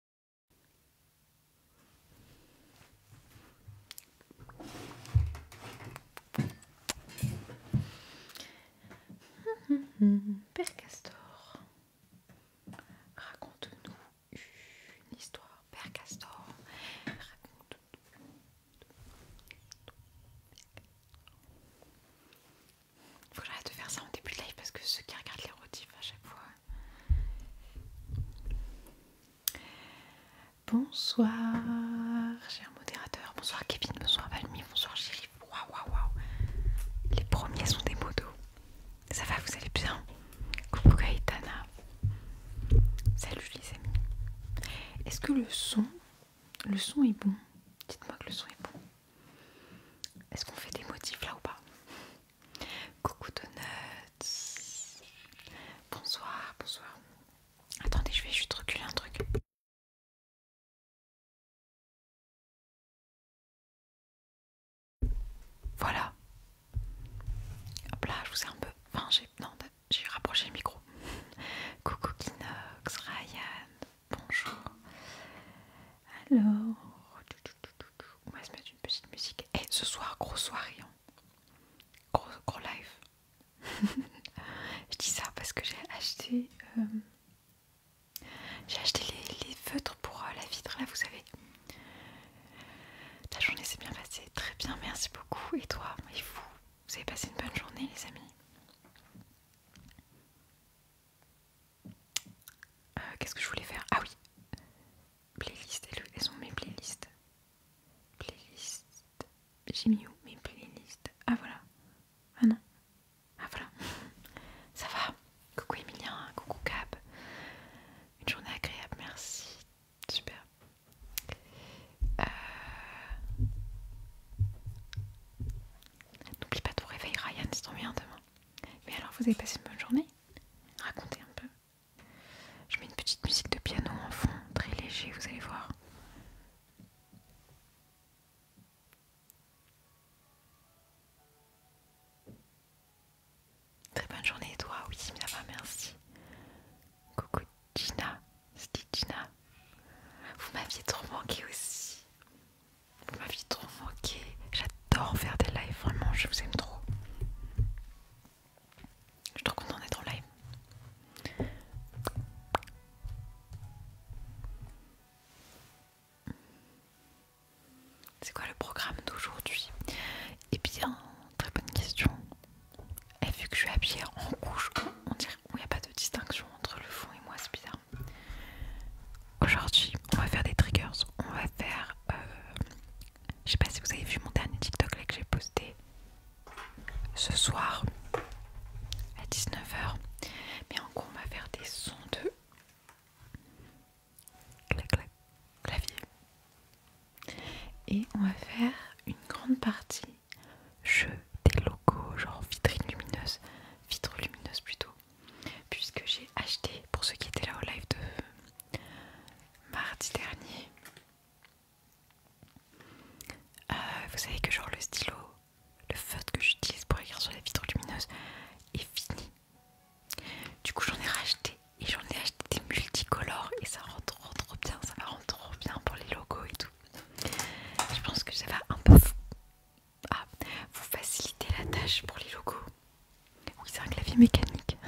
Père Castor, raconte-nous une histoire. Père Castor, raconte-nous. Il de faire ça en début de live parce que ceux qui regardent les rotifs à chaque fois, Bonsoir, cher modérateur. Bonsoir, Kevin. Bonsoir, Valmy. Bonsoir, Chéri. Waouh, waouh, Les premiers sont des modos. Ça va, vous allez bien Coucou, Gaëtana. Salut, les amis. Est-ce que le son, le son est bon Dites-moi que le son est bon. Est-ce qu'on fait des motifs là ou pas Coucou Donuts. Bonsoir, bonsoir. Attendez, je vais juste reculer un truc. Voilà. Hop là, je vous ai un peu... Enfin, j'ai... Non, j'ai rapproché le micro. Coucou Kinox, Ryan, bonjour. Alors... On va se mettre une petite musique. Et eh, ce soir, hein. gros soirée. Gros, live. Je dis ça parce que j'ai acheté... Euh, j'ai acheté les, feutres pour euh, la vitre, là, vous savez. La journée s'est bien passée. Très bien, merci beaucoup. Et toi, et vous Vous avez passé une bonne journée, les amis euh, Qu'est-ce que je voulais faire Ah oui Playlist, elles sont mes playlists. Playlist. J'ai mis où mes playlists Ah voilà. Ah non. Ah voilà. Ça va. Coucou Emilien, coucou Cap. Une journée agréable, merci. Super. Euh, n'oublie pas de vous réveiller Ryan, Si t'en bien demain. Mais alors, vous avez passé une bonne journée Racontez un peu. Je mets une petite musique de piano en fond, très léger, vous allez voir. Très bonne journée, toi. Oui, ça merci. Coucou Gina, dit Gina. Vous m'aviez trop manqué aussi. Vous m'aviez trop manqué j'adore faire des lives, vraiment, je vous aime trop. Je suis trop contente d'être en live. C'est quoi le programme d'aujourd'hui Et eh bien, très bonne question. Et eh, vu que je suis habillée en rouge, on dirait qu'il n'y a pas de distinction entre le fond et moi, c'est bizarre. Aujourd'hui, on va faire des triggers. On va faire euh, je sais pas si vous avez vu mon dernier TikTok que j'ai posté ce soir à 19h. Mais en gros, on va faire des sons de clac, clac, clavier. Et on va faire une grande partie jeu des locaux, genre vitrine lumineuse, vitre lumineuse plutôt. Puisque j'ai acheté, pour ceux qui étaient là au live de mardi dernier. Euh, vous savez que genre le stylo, le feutre que j'utilise pour écrire sur la vitre lumineuse est fini. Du coup j'en ai racheté et j'en ai acheté des multicolores et ça rend trop bien, ça va rendre trop bien pour les logos et tout. Je pense que ça va un peu fou. Ah, vous faciliter la tâche pour les logos. Oui c'est un clavier mécanique.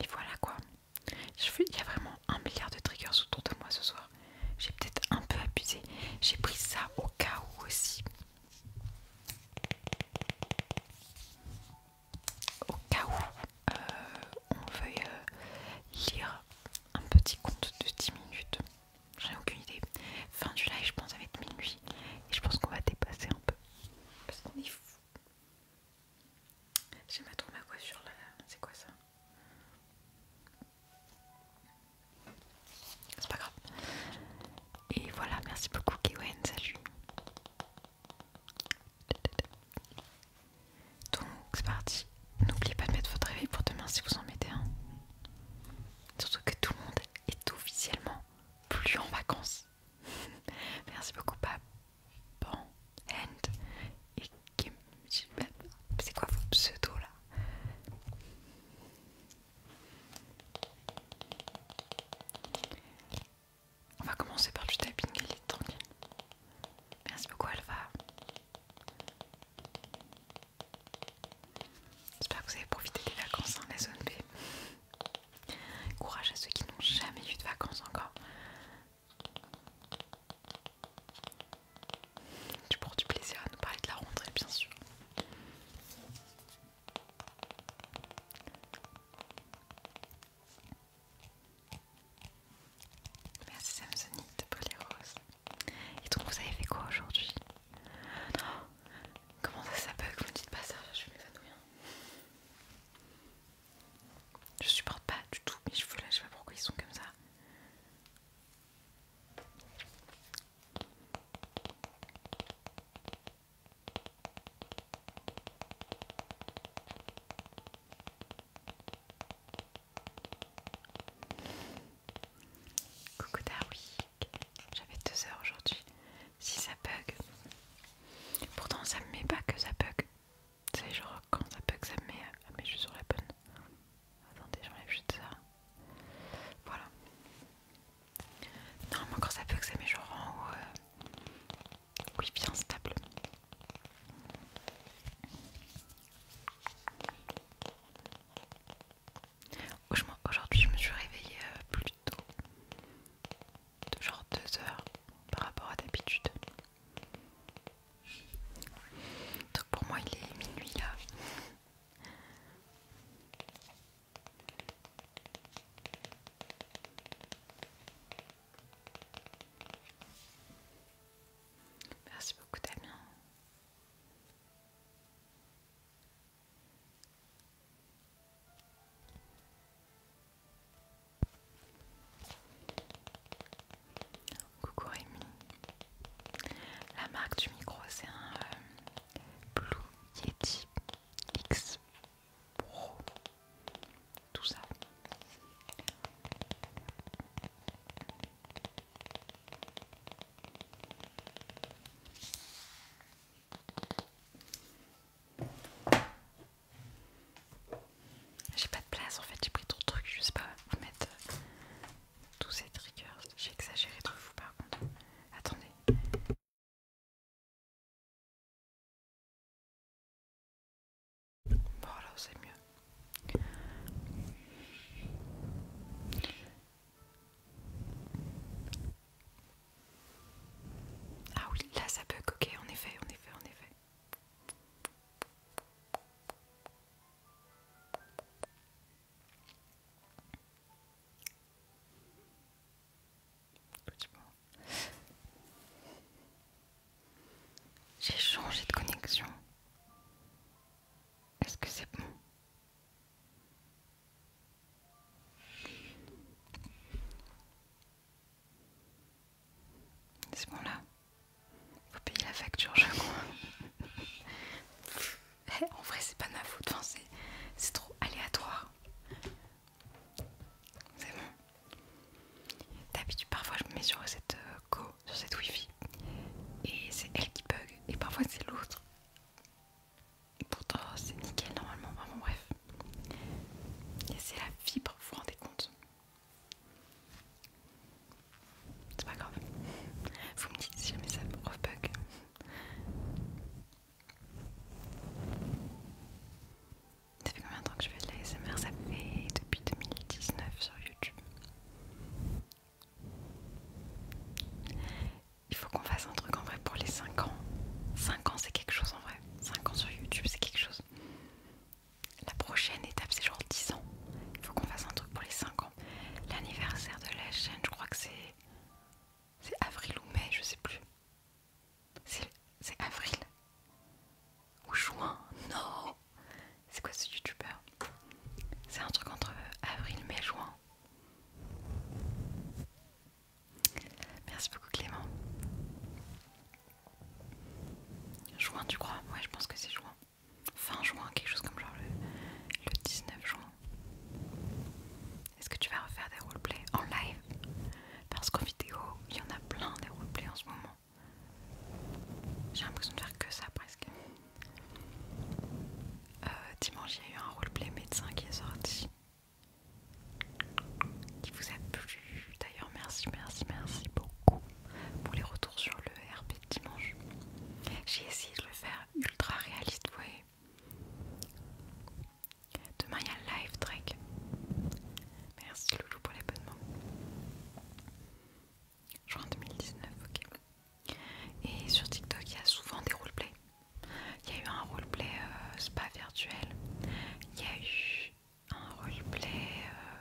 Et voilà quoi. Je il y a vraiment un milliard de triggers autour de moi ce soir. J'ai peut-être un peu abusé. J'ai pris ça au cas où aussi. Au cas où. Euh, on veuille euh, lire un petit conte de 10 minutes. J'ai aucune idée. Fin du live, je pense, ça va être minuit. Et je pense qu'on va dépasser un peu. Parce qu'on est fou. J'ai ma coiffure là. C'est quoi ça C'est pas grave. Et voilà, merci beaucoup, Kewen. Salut. Donc c'est parti. N'oubliez pas de mettre votre réveil pour demain si vous en mettez un. Surtout que tout le monde est officiellement plus en vacances. Merci beaucoup, papa Bon, and. Et Kim. C'est quoi vos pseudos là On va commencer par du tapping, et est tranquille. Merci beaucoup, Alva. J'espère que vous avez profité des vacances dans la zone B. Courage à ceux qui n'ont jamais eu de vacances encore. Tu prends du plaisir à nous parler de la rentrée, bien sûr. Merci Samsonite pour les roses. Et donc vous avez fait quoi aujourd'hui oh, Comment ça, ça bug Vous me dites pas ça, je suis Je supporte pas du tout mes cheveux là, je sais pas pourquoi ils sont comme ça. Coucou oui. j'avais 2 heures aujourd'hui. Si ça bug, pourtant ça me met pas que ça bug. C'est genre quand ça bug, ça me met. mais je suis sur la bonne. Attendez, j'enlève juste ça. Voilà. Normalement, quand ça bug, ça met genre en haut. Euh, oui, bien stable. Aujourd'hui, je me suis réveillée euh, plus tôt, genre 2 heures par rapport à d'habitude. Donc pour moi, il est minuit là. Merci beaucoup Damien. Coucou Rémi. La marque du micro c'est un euh, Blue Yeti X Pro. Tout ça. J'ai pas de place en fait, j'ai pris trop de trucs, je sais pas où mettre euh, tous ces triggers. J'ai exagéré de fou par contre. Attendez c'est mieux. Ah oui, là ça peut coquer en effet, en effet, en effet. J'ai changé de connexion. Est-ce que c'est bon C'est bon là Faut payer la facture je crois. Eh, en vrai c'est pas de ma faute, enfin, c'est trop aléatoire. C'est bon. D'habitude parfois je me mets sur cette euh, co sur cette wifi et c'est elle qui bug et parfois c'est l'autre et pourtant c'est nickel normalement vraiment bref et c'est la fibre vous vous rendez compte c'est pas grave vous me dites si jamais ça bug. ça fait combien de temps que je fais de l'ASMR Ça fait depuis 2019 sur YouTube. Il faut qu'on fasse un truc en vrai pour les 5 ans. 5 ans, c'est quelque chose en vrai. 5 ans sur YouTube, c'est quelque chose. La prochaine étape, c'est genre 10 ans. Il faut qu'on fasse un truc pour les 5 ans. L'anniversaire de la chaîne, je crois que c'est. C'est avril ou mai, je sais plus. C'est avril ou juin. Non, c'est quoi ce youtubeur C'est un truc entre avril, mai, juin. Merci beaucoup Clément. Juin tu crois Ouais je pense que c'est juin. Fin juin, quelque chose comme genre le, le 19 juin. Est-ce que tu vas refaire des roleplays en live Parce qu'en vidéo, il y en a plein des roleplays en ce moment. J'ai l'impression de faire que ça presque. Euh, dimanche, il y a eu un roleplay médecin qui est sorti. Qui vous a plu. D'ailleurs, merci, merci, merci beaucoup pour les retours sur le RP de dimanche. J'ai essayé de le faire ultra réaliste, vous voyez. Demain, il y a live track Merci Loulou pour l'abonnement. Juin 2019, ok. Et sur TikTok, il y a souvent des roleplays. Il y a eu un roleplay euh, spa virtuel. Il y a eu un roleplay euh,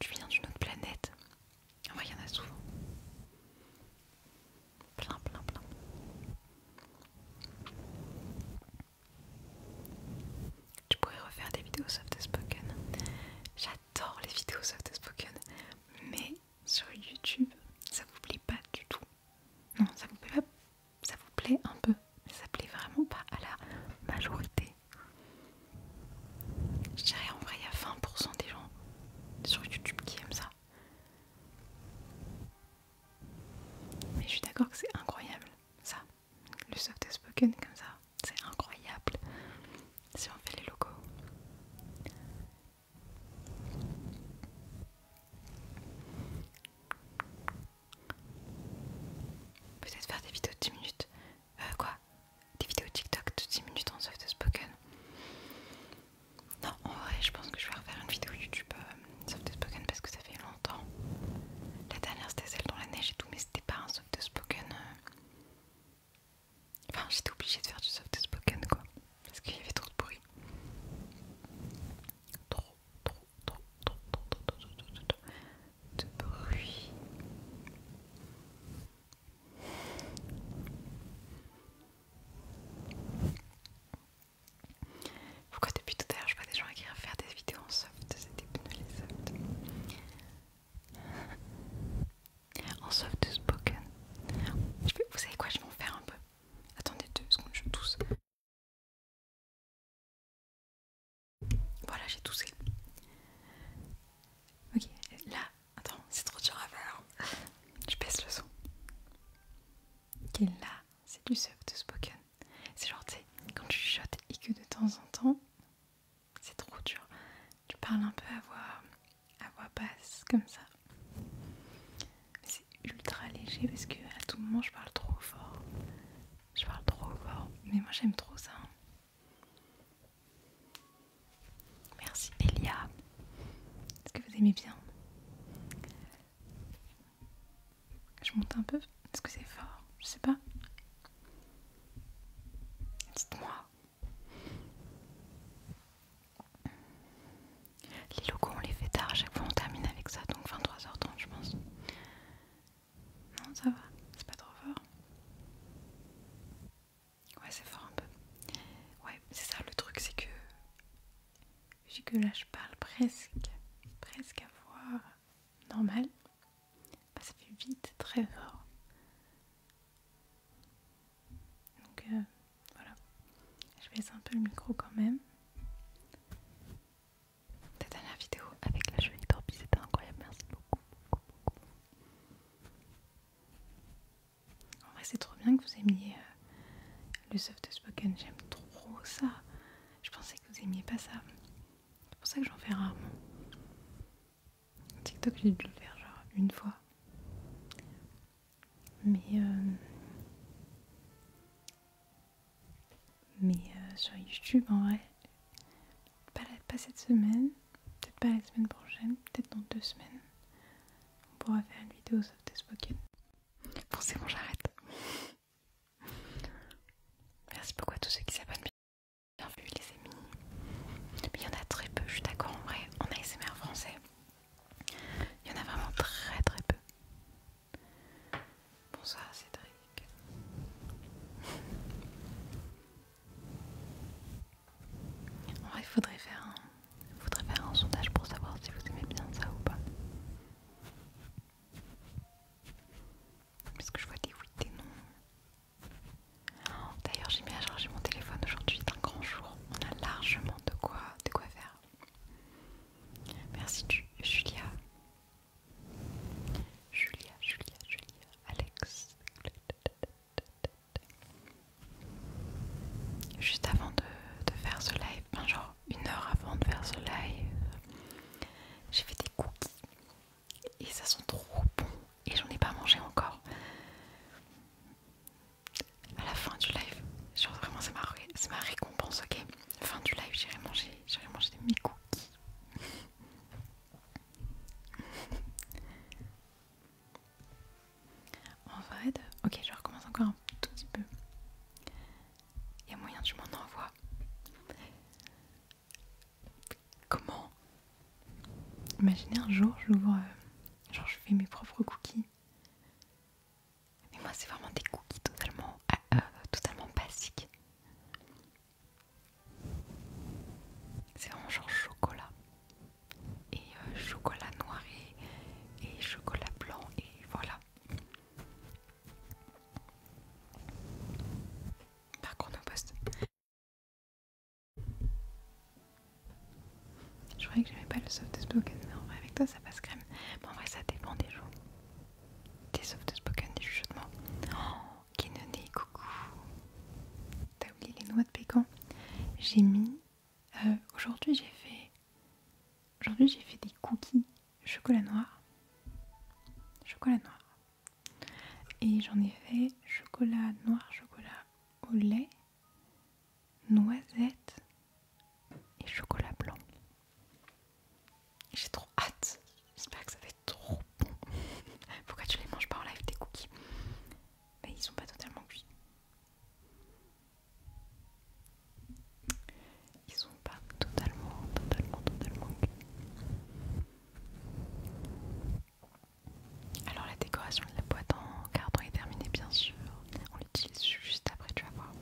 tu viens d'une autre planète. En vrai, il y en a souvent. Plein, plein, plein. Tu pourrais refaire des vidéos soft spoken j'adore les vidéos soft spoken, mais sur YouTube, ça vous plaît pas du tout. Non, ça vous plaît, pas, ça vous plaît un peu, mais ça plaît vraiment pas à la majorité. Je dirais en vrai, il y a 20% des gens sur YouTube qui aiment ça. Mais je suis d'accord que c'est incroyable, ça, le soft spoken comme ça c'est incroyable si on fait les logos. Peut-être faire des vidéos de 10 minutes. Euh, quoi Des vidéos TikTok de 10 minutes en soft spoken Non, en vrai, je pense que je vais refaire une vidéo YouTube euh, soft spoken parce que ça fait longtemps. La dernière c'était celle dans la neige et tout, mais c'était pas un soft spoken. Euh. Enfin, j'étais obligée de faire du soft spoken quoi, parce qu'il y avait trop de bruit. Trop, trop, trop, trop, trop, de bruit. Pourquoi depuis tout à l'heure je vois des gens qui à faire des vidéos en soft, c'est trop, en soft spoken. vous savez quoi, je vais en faire un peu. Attendez deux secondes, je tousse. Voilà, j'ai toussé. Ok, là, attends, c'est trop dur à faire. Je baisse le son. Ok, là, c'est du soft spoken. C'est genre, tu sais, quand tu chuchotes et que de temps en temps, c'est trop dur. Tu parles un peu à voix, à voix basse, comme ça. C'est ultra léger parce que à tout moment je parle trop fort. Je parle trop fort. Mais moi j'aime trop ça. Merci Elia. Est-ce que vous aimez bien Je monte un peu. Est-ce que c'est fort Je sais pas. Dites-moi. Les locaux, on les fait tard à chaque fois, on termine avec ça, donc 23h30, je pense. Non, ça va, c'est pas trop fort. Ouais, c'est fort un peu. Ouais, c'est ça le truc, c'est que. Vu que là je parle presque, presque à voix normale, bah, ça fait vite, très fort. Donc euh, voilà, je laisser un peu le micro quand même. Cette dernière vidéo avec la cheville torpille, c'était incroyable, merci beaucoup, beaucoup, beaucoup. En vrai, c'est trop bien que vous aimiez euh, le soft spoken, j'aime trop ça. Je pensais que vous aimiez pas ça. C'est pour ça que j'en fais rarement. TikTok, j'ai dû le faire genre une fois. Mais. Euh, mais euh, sur YouTube, en vrai, pas, cette semaine, peut-être pas la semaine prochaine, peut-être dans deux semaines, on pourra faire une vidéo soft spoken. Bon, c'est bon, j'arrête. Merci beaucoup à tous ceux qui s'abonnent. Bien vu, les il y en a très peu, je suis d'accord en vrai, en ASMR français. Il y en a vraiment très très peu. Bon ça c'est très En vrai il faudrait faire un... Faudrait faire un sondage pour savoir si vous aimez bien ça ou pas. Parce que je vois des oui, des non. D'ailleurs, j'ai mis à charger mon téléphone aujourd'hui, c'est un grand jour. On a largement de quoi, de quoi faire. Merci Julia. Julia, Julia, Julia, Alex. Juste avant de, de faire ce live, enfin genre une heure avant de faire ce live, j'ai fait des cookies et ça sent trop bon et j'en ai pas mangé encore à la fin du live. vraiment c'est ma, récompense, ok Fin du live, j'irai manger, manger des cookies. en vrai, ok, je recommence encore un tout petit peu. Il y a moyen, tu m'en envoies. Comment Imaginez un jour, j'ouvre, euh, genre je fais mes propres cookies. Mais moi, c'est vraiment des cookies totalement, euh, euh, totalement basiques. C'est vraiment genre chocolat. Et chocolat noir et, chocolat blanc, et voilà. Par poste. Je croyais que j'avais pas le soft spoken, mais en vrai avec toi ça passe crème. Bon, en vrai ça dépend des jours. Des soft spoken, des chuchotements. Oh, Kenone, coucou. T'as oublié les noix de pécan J'ai mis. Euh, aujourd'hui j'ai fait. Aujourd'hui j'ai fait des cookies chocolat noir. Chocolat noir. Et j'en ai fait chocolat noir, chocolat au lait noisettes et chocolat blanc. J'ai trop hâte. J'espère que ça va être trop bon. Pourquoi tu les manges pas en live tes cookies Mais ils sont pas totalement cuits. Ils sont pas totalement, totalement, totalement cuits. Alors la décoration de la boîte en carton est terminée bien sûr. On l'utilise juste après, tu vas voir.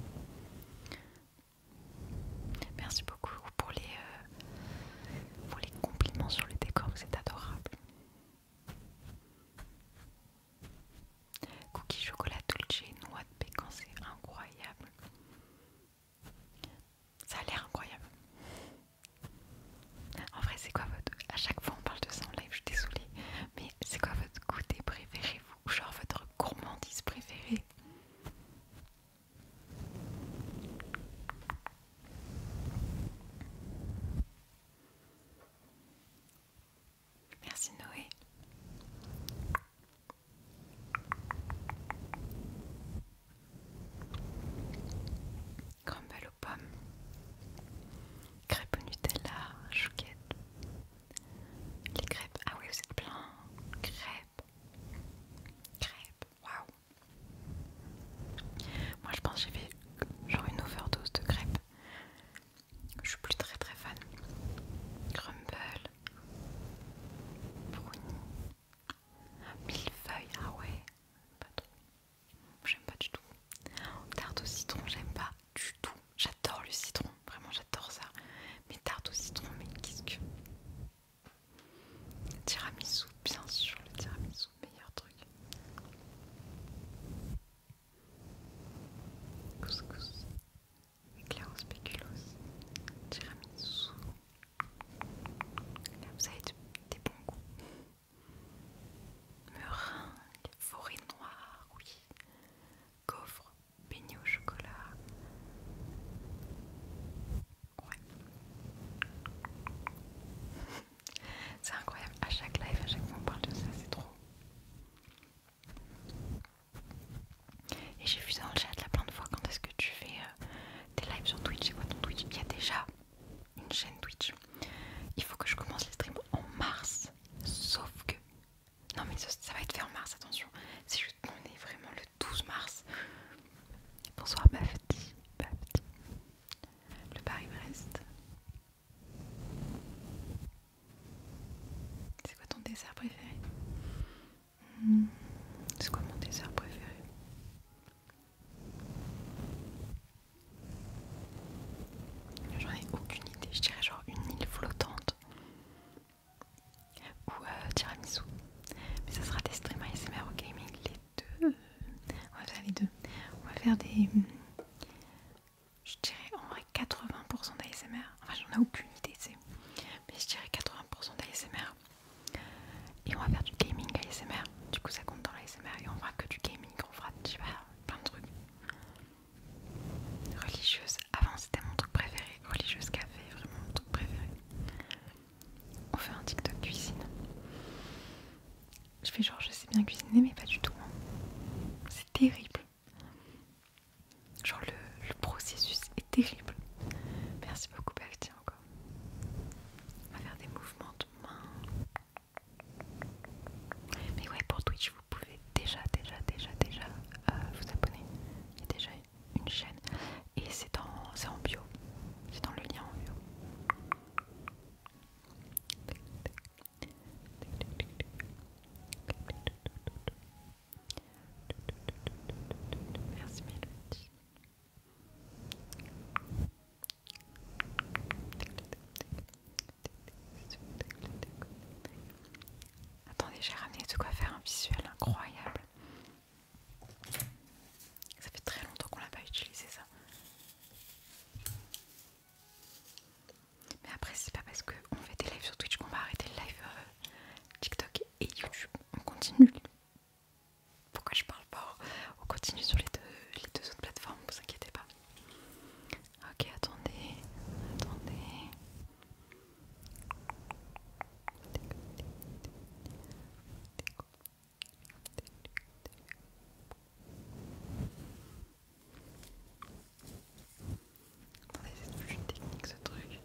Merci beaucoup pour les, euh, pour les compliments sur le décor, c'est adorable. Cookie chocolat et noix de pécan, c'est incroyable. Ça a l'air incroyable. En vrai, c'est quoi votre. À chaque fois, on parle de ça en live, je suis désolée. Mais c'est quoi votre goûter préféré, vous Genre votre gourmandise préférée Merci Noé crumble aux pommes, crêpes au Nutella, chouquette. Les crêpes, ah oui, vous êtes plein. Crêpes, crêpes, waouh. Moi je pense que j'ai fait genre une overdose de crêpes. Je suis plus très très fan. Crumble, brownie, millefeuille, ah ouais, pas trop j'aime pas du tout. Tarte au citron, j'aime pas du tout. J'adore le citron, vraiment j'adore ça. Mais tarte au citron, mais qu'est-ce que... Tiramisu, bien sûr, le tiramisu, meilleur truc. Couscous, éclair au tiramisu. vous avez des bons goûts meringue, forêt noire, oui, coffre, beignet au chocolat. C'est incroyable, à chaque live, à chaque fois on parle de ça, c'est trop. Et j'ai vu ça dans le chat la plein de fois, quand est-ce que tu fais euh, tes lives sur Twitch C'est quoi ton Twitch Il y a déjà une chaîne Twitch. Il faut que je commence les streams en mars. Sauf que... Non mais ça, va être fait en mars, attention. C'est juste qu'on est vraiment le 12 mars. Bonsoir ma Le Paris-Brest. C'est quoi ton dessert préféré hmm, C'est quoi mon dessert préféré J'en ai aucune idée, je dirais genre une île flottante ou euh, tiramisu. Mais ça sera des streams ASMR ou gaming, les deux. On va faire les deux. On va faire des. Hmm, je dirais en vrai 80% d'ASMR. Enfin, j'en ai aucune idée, c'est. Mais je dirais 80% d'ASMR. Et on va faire du gaming ASMR. Du coup, ça compte dans l'ASMR. Et on fera que du gaming, on fera, je plein de trucs. Religieuse, avant c'était mon truc préféré. Religieuse café, vraiment mon truc préféré. On fait un TikTok cuisine. Je fais genre, je sais bien cuisiner, mais pas du tout. Hein. C'est terrible. Genre, le, processus est terrible. Merci beaucoup, tiens encore. On va faire des mouvements de main. Mais ouais, pour Twitch, vous pouvez déjà, déjà, déjà, déjà euh, vous abonner. Il y a déjà une chaîne et c'est en, bio. C'est dans le lien en bio. Merci Melody Attendez, j'ai ramené de quoi faire un visuel incroyable. Ça fait très longtemps qu'on l'a pas utilisé ça. Mais après, c'est pas parce qu'on fait des lives sur Twitch qu'on va arrêter le live euh, TikTok et YouTube. On continue. Pourquoi je parle pas On continue sur les deux, les deux autres plateformes, vous inquiétez pas. Ok, attendez, attendez. technique ce truc.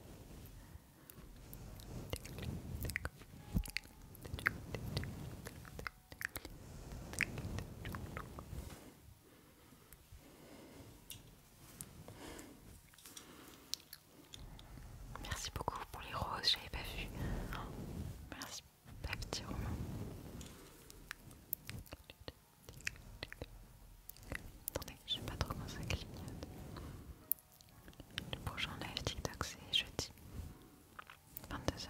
Merci beaucoup pour les roses, j'avais pas vu. Merci, pas petit roman Attendez, je sais pas trop comment ça clignote. Le prochain live TikTok c'est jeudi, 22h.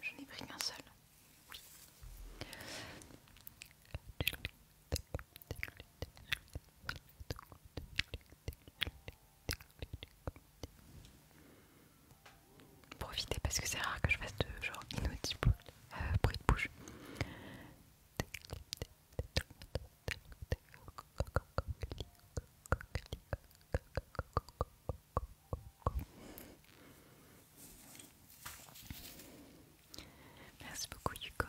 Je n'ai pris qu'un seul. Profitez parce que c'est rare que je fasse de genre inaudible euh, bruit de bouche. Merci beaucoup Hugo.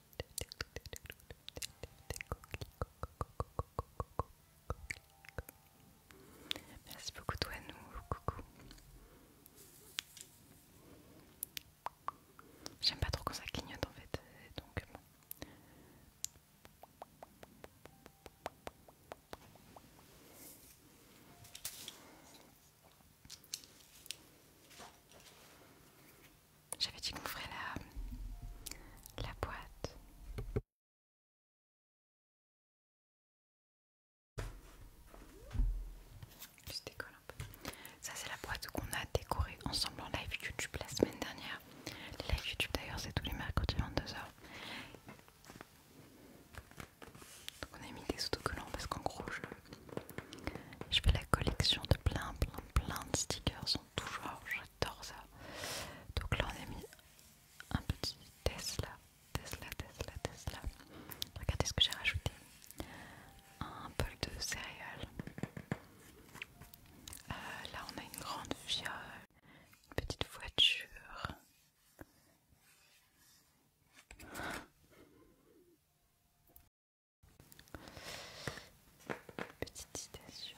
Merci beaucoup toi nous, coucou. J'aime pas trop quand ça en fait, euh, donc euh, j'avais dit qu'on ferait la, boîte. Ça, c'est la boîte qu'on a décorée ensemble en live YouTube la semaine dernière. Les live YouTube, d'ailleurs, c'est tous les mercredis 22h. on a mis des autocollants parce qu'en gros je fais la collection de plein plein plein de stickers Toujours, j'adore ça. Donc là on a mis un petit Tesla, Tesla, Tesla, Tesla. Regardez ce que j'ai rajouté. Un bol de céréales. Euh, là on a une grande fiole, une petite voiture. Petite citation.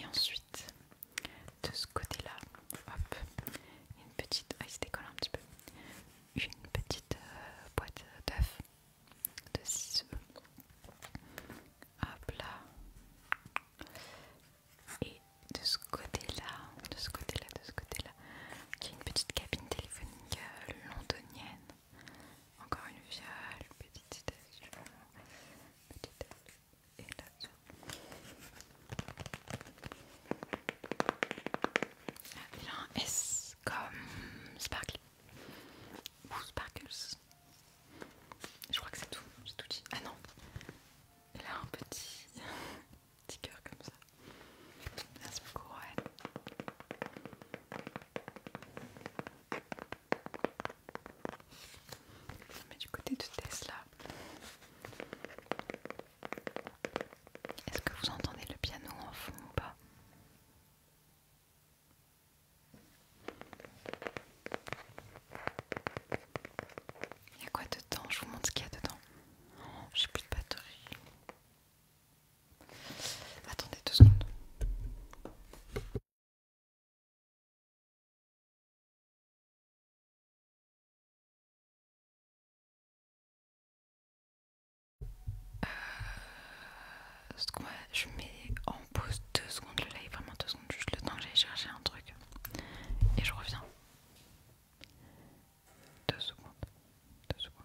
Et ensuite, de ce côté-là, une petite. Ah, décolle un petit peu. Une petite euh, boîte d'œufs de ciseaux Hop là. Et de ce côté-là, de ce côté-là, de ce côté-là, il y a une petite cabine téléphonique euh, londonienne encore une une petite citation, petite et là-dessus. il a un S comme Sparkle ou Sparkles. Je crois que c'est tout, c'est tout dit. Ah non, il a un petit, cœur comme ça. un beaucoup, mais du côté de Tesla, est-ce que vous entendez le piano en fond ou pas Il y a quoi dedans Je vous montre ce qu'il y a dedans. Oh, j'ai plus de batterie. Attendez deux secondes. Euh, je mets en pause deux secondes le live, vraiment deux secondes, juste le temps que j'aille chercher un truc et je reviens. Deux secondes, deux secondes.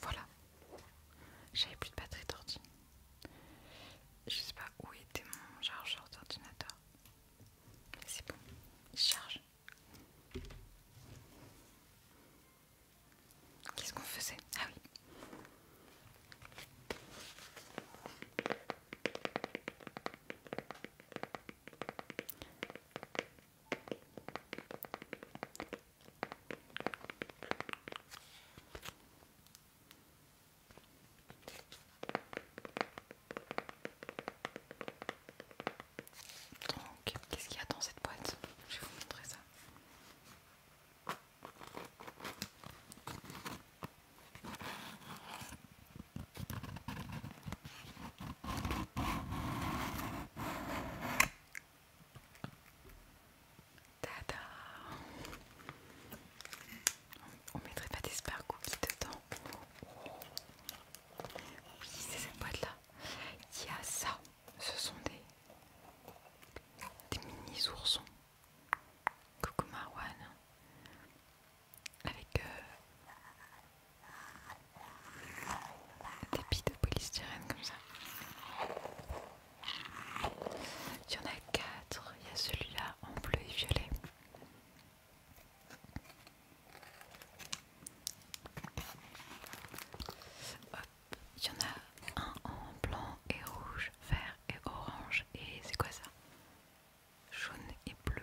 Voilà, j'avais plus de batterie d'ordi. Je sais pas où était mon chargeur d'ordinateur. C'est bon, il charge. Qu'est-ce qu'on faisait Ah oui, donc, qu'est-ce qu'il y a dans cette boîte Je vais vous montrer ça. On mettrait pas des qui dedans. Oui, c'est cette boîte-là. Il y a ça. Ce sont des, des mini oursons. Coucou Marwan. Avec euh, des billes de polystyrène comme ça. Il y en a quatre. Il y a celui-là en bleu et violet. Hop, il y en a un en blanc et rouge, vert et orange et c'est quoi ça Jaune et bleu.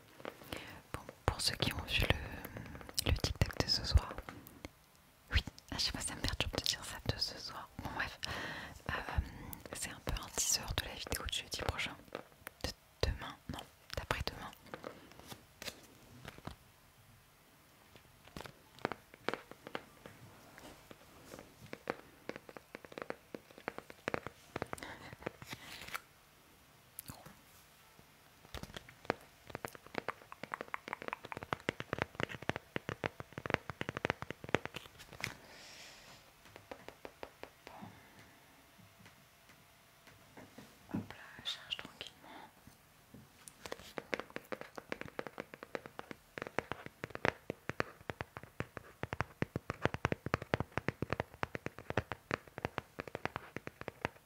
Bon, pour ceux qui ont vu le, le tic de ce soir, oui, ah, je sais pas, ça me perturbe de dire ça de ce soir. Bon, bref, euh, c'est un peu un h de la vidéo de jeudi prochain. De demain, non, d'après-demain. Hop là, charge tranquillement.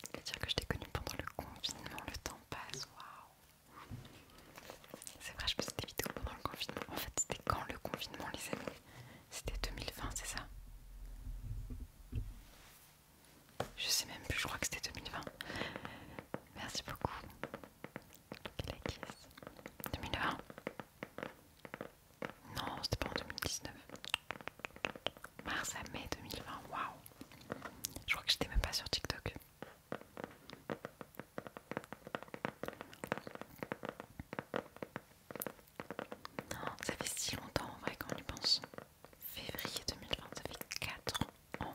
C'est dire que je t'ai connu pendant le confinement, le temps passe, waouh! C'est vrai, je faisais des vidéos pendant le confinement. En fait, c'était quand le confinement, les amis? C'était 2020, c'est ça? Je sais même plus, je crois que c'était 2020. Merci beaucoup. 2020 Non, c'était pas en 2019. Mars à mai 2020, waouh Je crois que j'étais même pas sur TikTok. Non, ça fait si longtemps en vrai qu'on y pense. Février 2020, ça fait 4 ans.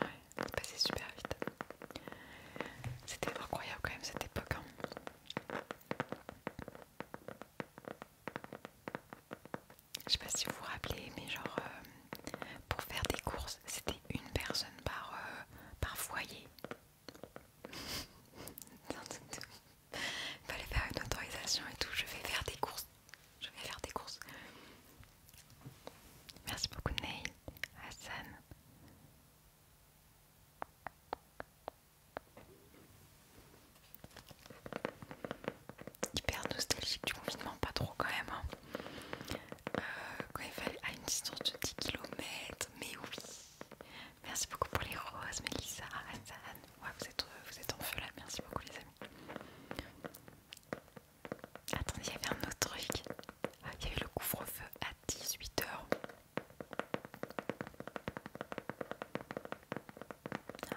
Ouais, c'est passé super vite. C'était incroyable quand même cette époque. Hein. Je sais pas si vous vous rappelez, mais genre euh, pour faire des courses, c'était une personne par, euh, par foyer. Il fallait faire une autorisation et tout. Je vais faire des courses. Je vais faire des courses. Merci beaucoup Neil, Hassan. Hyper nostalgique du confinement, pas trop quand même. Hein. Euh, quand il fallait à une distance de 10 km, mais oui. Merci beaucoup pour les roses, Melissa, Hassan. vous êtes, euh, vous êtes en feu là, merci beaucoup les amis. Attendez, il y avait un autre truc. Ah, il y avait le couvre-feu à 18h.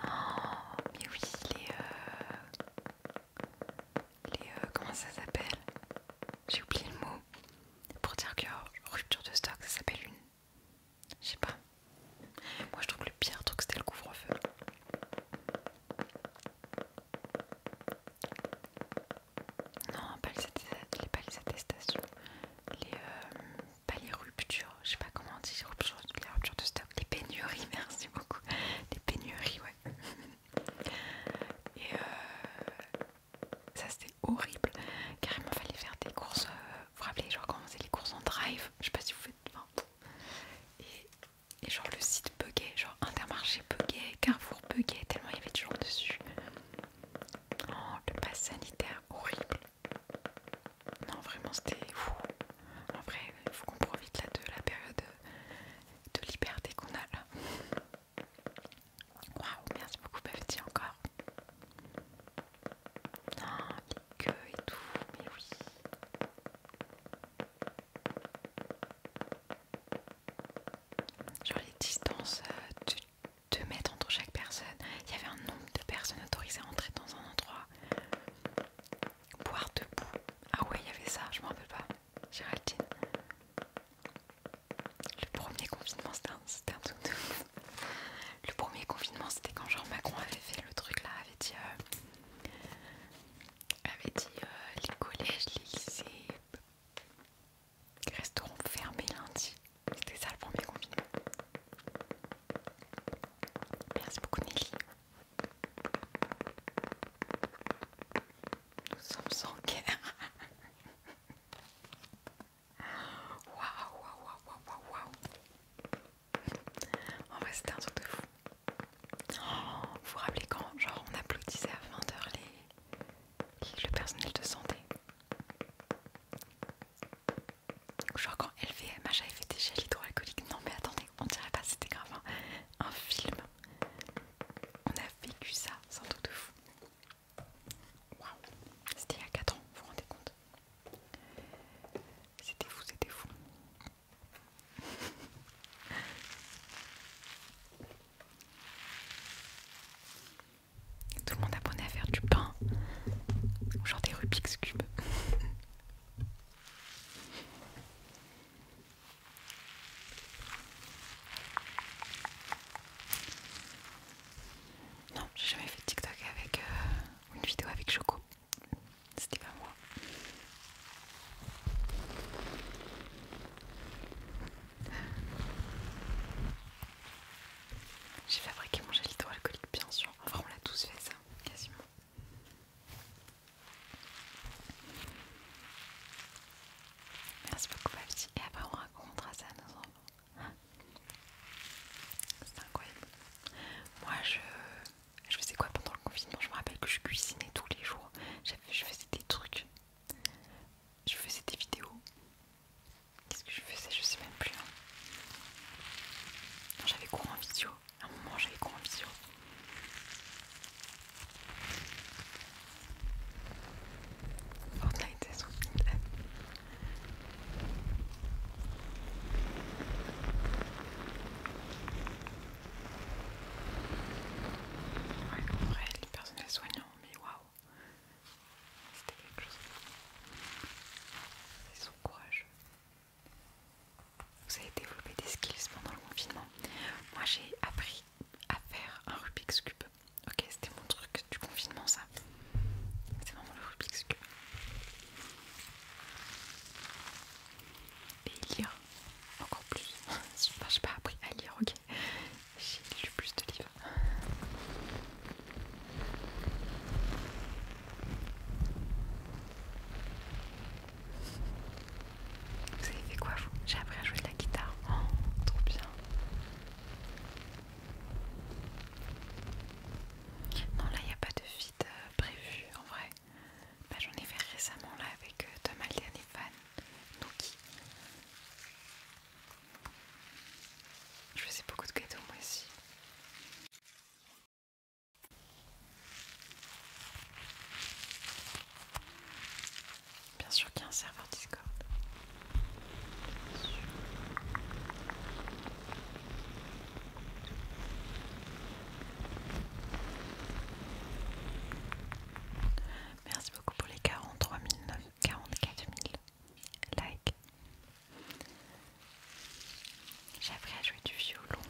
Oh, mais oui, les... Euh, les euh, comment ça s'appelle J'ai oublié le mot. Pour dire que oh, rupture de stock, ça s'appelle une je sais pas. Moi je trouve que le pire truc c'était le couvre-feu. Non, pas les, attestations. Les, euh, pas les ruptures, je sais pas comment on dit, les ruptures, de stock. Les pénuries, merci beaucoup. Les pénuries, ouais. Et euh, ça c'était horrible. Carrément, fallait faire des courses. Euh, vous vous rappelez, genre comment les courses en drive, je sais pas si vous faites et, genre le site bugué genre Intermarché bugué, Carrefour bugué tellement il y avait du genre dessus. Oh, le pass sanitaire, horrible. Non, vraiment, c'était fou. En vrai, il faut qu'on profite là de la période de liberté qu'on a là. Waouh, merci beaucoup, Bafti, encore. Non, ah, les queues et tout, mais oui. Genre les distances euh, de, 2 mètres entre chaque personne. Il y avait un nombre de personnes autorisées à entrer dans un endroit. Boire debout. Ah ouais, il y avait ça, je me rappelle pas. Géraldine. Le premier confinement, c'était un, un truc Le premier confinement, c'était quand genre Macron avait fait le truc là, avait dit euh, avait dit euh, les collèges, les lycées resteront fermés lundi. C'était ça le premier confinement. Merci beaucoup Nelly. Nous sommes sans guerre. Waouh, waouh, waouh, waouh, waouh. En vrai, c'était un truc de fou. Oh, vous vous rappelez quand genre, on applaudissait à 20h les... le personnel de santé Genre quand LVMH avait fait des gels hydroalcooliques. Non mais attendez, on dirait pas c'était grave. Hein. Un film. On a vécu ça, c'est un truc de fou. Waouh. C'était il y a 4 ans, vous vous rendez compte C'était fou, c'était fou. Tout le monde apprenait à faire du pain, genre des Rubik's Cube. non, j'ai jamais fait TikTok avec euh, une vidéo avec Choco. C'était pas moi. J'ai fabriqué mon gel hydroalcoolique, bien sûr. Enfin, on l'a tous fait ça, quasiment. Merci beaucoup, ma Et après, on racontera ça à nos enfants. Hein C'est incroyable. Moi, je. Je faisais quoi pendant le confinement Je me rappelle que je cuisinais tous les jours. Je faisais des trucs. Je faisais des vidéos. Qu'est-ce que je faisais Je sais même plus. Hein. J'avais cours en visio. À un moment, j'avais cours en visio. Fortnite, Ouais, en vrai, les personnels soignants, mais waouh! C'était quelque chose. Ils sont courageux. Vous avez développé des skills pendant le confinement. Moi, j'ai appris à faire un Rubik's Cube. Ok, c'était mon truc du confinement, ça. C'est vraiment le Rubik's Cube et lire encore plus. j'ai pas appris à lire, ok. J'ai lu plus de livres. Vous avez fait quoi vous J'ai appris à jouer de la guitare. Oh, trop bien. Non, là il n'y a pas de vide euh, prévu en vrai. Bah, j'en ai fait récemment là avec Thomas euh, Tom Alden et Fan Je faisais beaucoup de gâteaux moi aussi. Bien sûr qu'il y a un serveur Discord. Merci beaucoup pour les 43 000, 44 000 likes. J'aimerais jouer du violon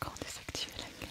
quand désactiver la gueule.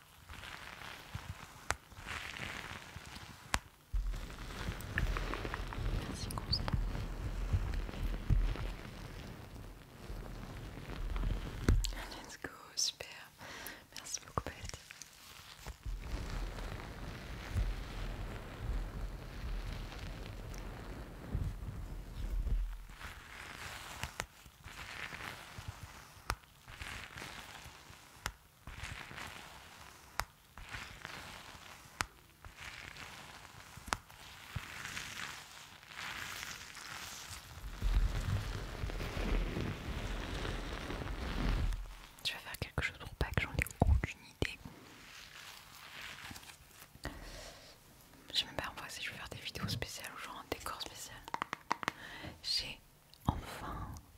Merci beaucoup Let's go, super. Merci beaucoup Beth. Je vais faire quelque chose pour pas que j'en ai aucune idée. Je sais même pas si je vais faire des vidéos spéciales ou genre un décor spécial enfin,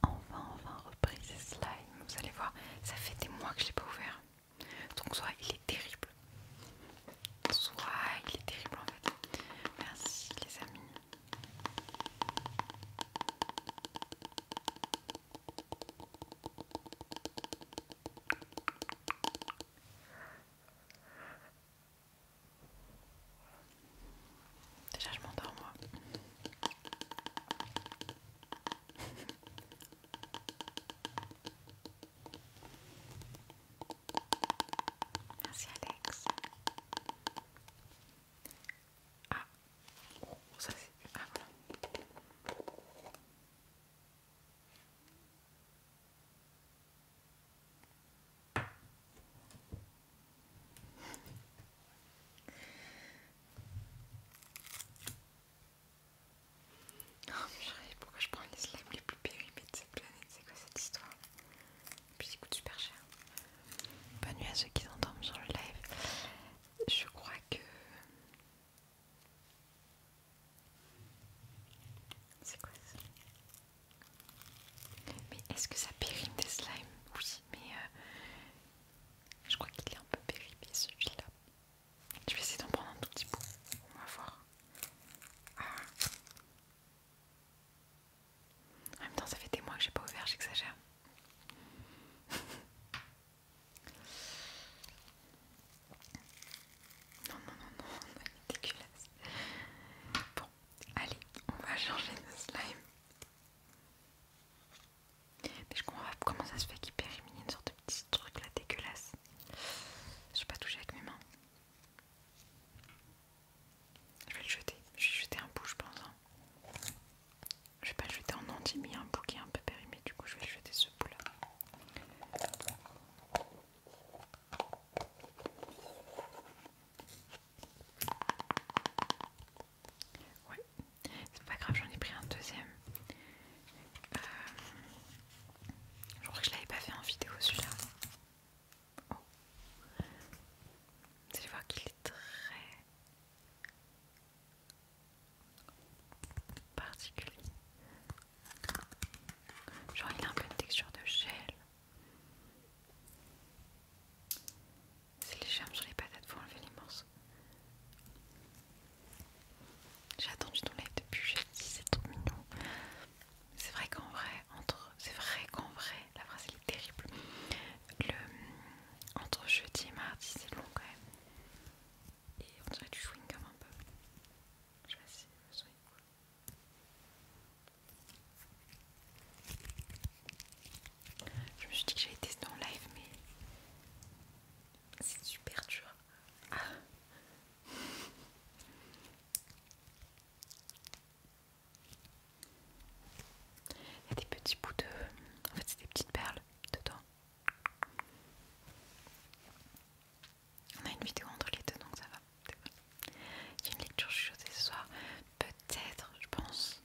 enfin, enfin reprise ces Vous allez voir, ça fait des mois que je l'ai pas ouvert. Donc soit il est terrible, soit il est terrible en fait. Merci les amis. Déjà, je m'endors, moi. Merci, Alex. Ah, oh, ça c'est. Ah, voilà. Oh, pourquoi je prends les slimes les plus périmés de cette planète C'est quoi cette histoire Et puis ils coûtent super cher. Bonne nuit à ceux qui s'endorment sur le live. Je crois que... C'est quoi ça mais est-ce que ça périme des slimes Oui, mais euh, je crois qu'il est un peu périmé celui-là. Je vais essayer d'en prendre un tout petit bout. On va voir. Ah. En même temps, ça fait des mois que j'ai pas ouvert, j'exagère. non, non, non, non, elle est dégueulasse. Bon, allez, on va changer de slime. Mais je comprends pas comment ça se fait qu'il périmine une sorte de petit truc là dégueulasse. Je suis pas touchée avec mes mains. Je vais le jeter. Je vais jeter un bout, je pense. Hein. Je vais pas le jeter en entier, mais il y a un bout qui est un peu périmé. Du coup, je vais le jeter ce bout là. Ouais, c'est pas grave, j'en ai pris un deuxième. Euh, je crois que je l'avais pas fait en vidéo celui-là. Oh. Vous allez voir qu'il est très particulier. Genre il a un peu une texture de gel. C'est les germes sur les patates, faut enlever les morceaux. J'ai attendu ton live depuis dit, c'est trop mignon. C'est vrai qu'en vrai, entre. C'est vrai qu'en vrai, la phrase elle est terrible. entre jeudi et mardi, c'est long quand même. Et on dirait du chewing comme un peu. Je sais pas si le son je me suis dit que j'allais tester en live, mais c'est super dur. Ah. Il y a des petits bouts de. En fait, c'est des petites perles dedans. On a une vidéo entre les deux donc ça va. Il y a une lecture chose ce soir. Peut-être, je pense.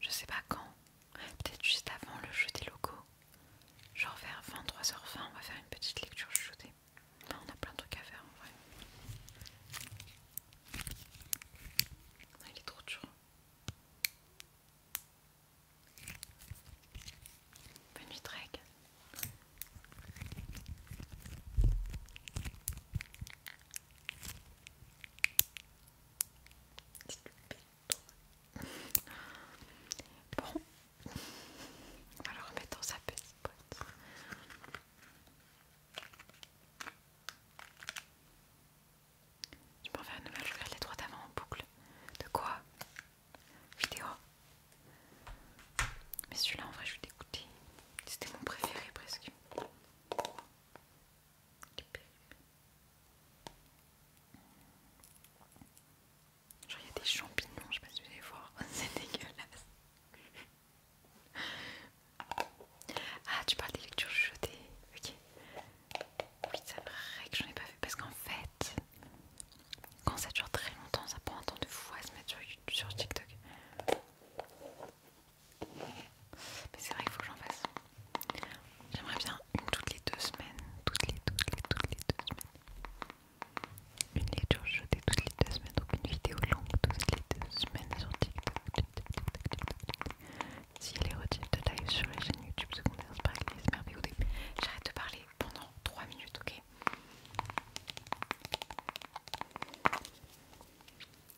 Je sais pas quand, peut-être juste avant le jeu des locaux. Genre vers 23h20, on va faire une petite lecture Là On a plein de trucs à faire en vrai. Ah, il est trop dur. Bonne nuit, Drake. Bon, on va le remettre dans sa petite boîte. Je m'en faire une nouveau, je regarde les droits d'avant en boucle. De quoi Vidéo. Mais celui-là en vrai je vais dégoûter C'était mon préféré presque. Genre, il y a des champignons, je sais pas si vous allez voir, c'est dégueulasse. Ah, tu parles des lectures chuchotées, ok. Oui, c'est vrai que j'en ai pas vu parce qu'en fait, quand ça dure très longtemps, ça prend un temps de fou à se mettre sur TikTok. Mais c'est vrai qu'il faut que j'en fasse. J'aimerais bien une toutes les deux semaines. Toutes les, toutes les, toutes les deux semaines. Une lecture jetée toutes les deux semaines. Donc une vidéo longue toutes les deux semaines sur TikTok. Si les retirée de live sur la chaîne YouTube secondaire, c'est pareil, les merveilles. J'arrête de parler pendant 3 minutes, ok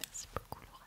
Merci beaucoup, Laura.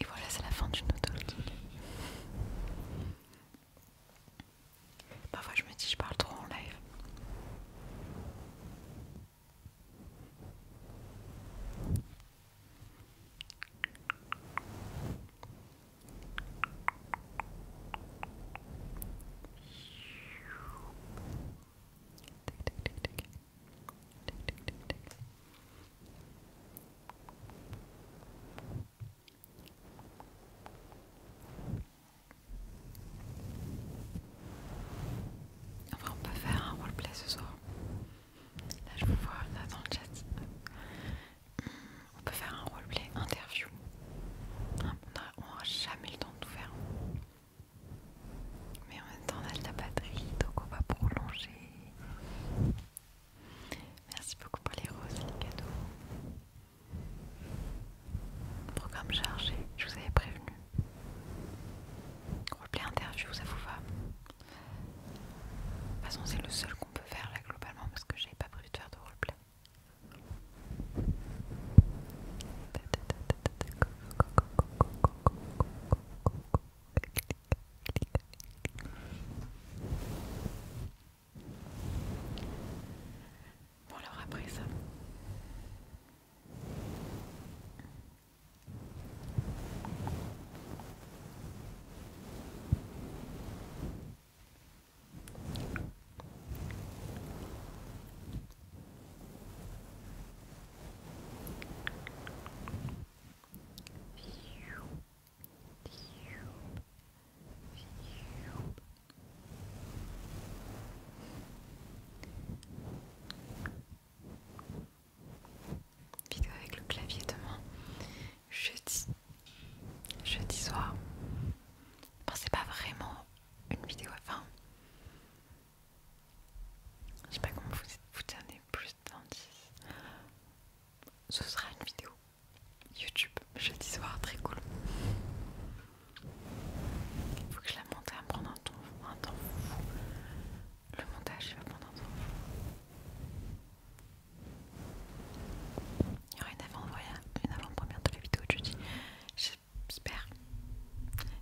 Et voilà, c'est la fin du notre Parfois, je me dis, je parle trop en live. Enfin, on peut faire un roleplay ce soir. Là, je vous vois là dans le chat. Hmm, on peut faire un roleplay interview. Hein, on n'aura jamais le temps de tout faire. Mais en même temps, on a de la batterie, donc on va prolonger. Merci beaucoup pour les roses et les cadeaux. Programme chargé, je vous avais prévenu. Rollplay interview, ça vous va De toute façon, c'est le seul qu'on peut faire là globalement parce que j'avais pas prévu de faire de roleplay. Bon alors après ça. Vidéo avec le clavier demain, jeudi, jeudi soir. Bon, c'est pas vraiment une vidéo, à fin je sais pas comment vous, vous donner plus 10 Ce sera une vidéo YouTube jeudi soir, très cool. Il faut que je la monte, elle prendre un temps, fou. Le montage, il va prendre un temps Il y aura une avant-première de la vidéo jeudi j'espère.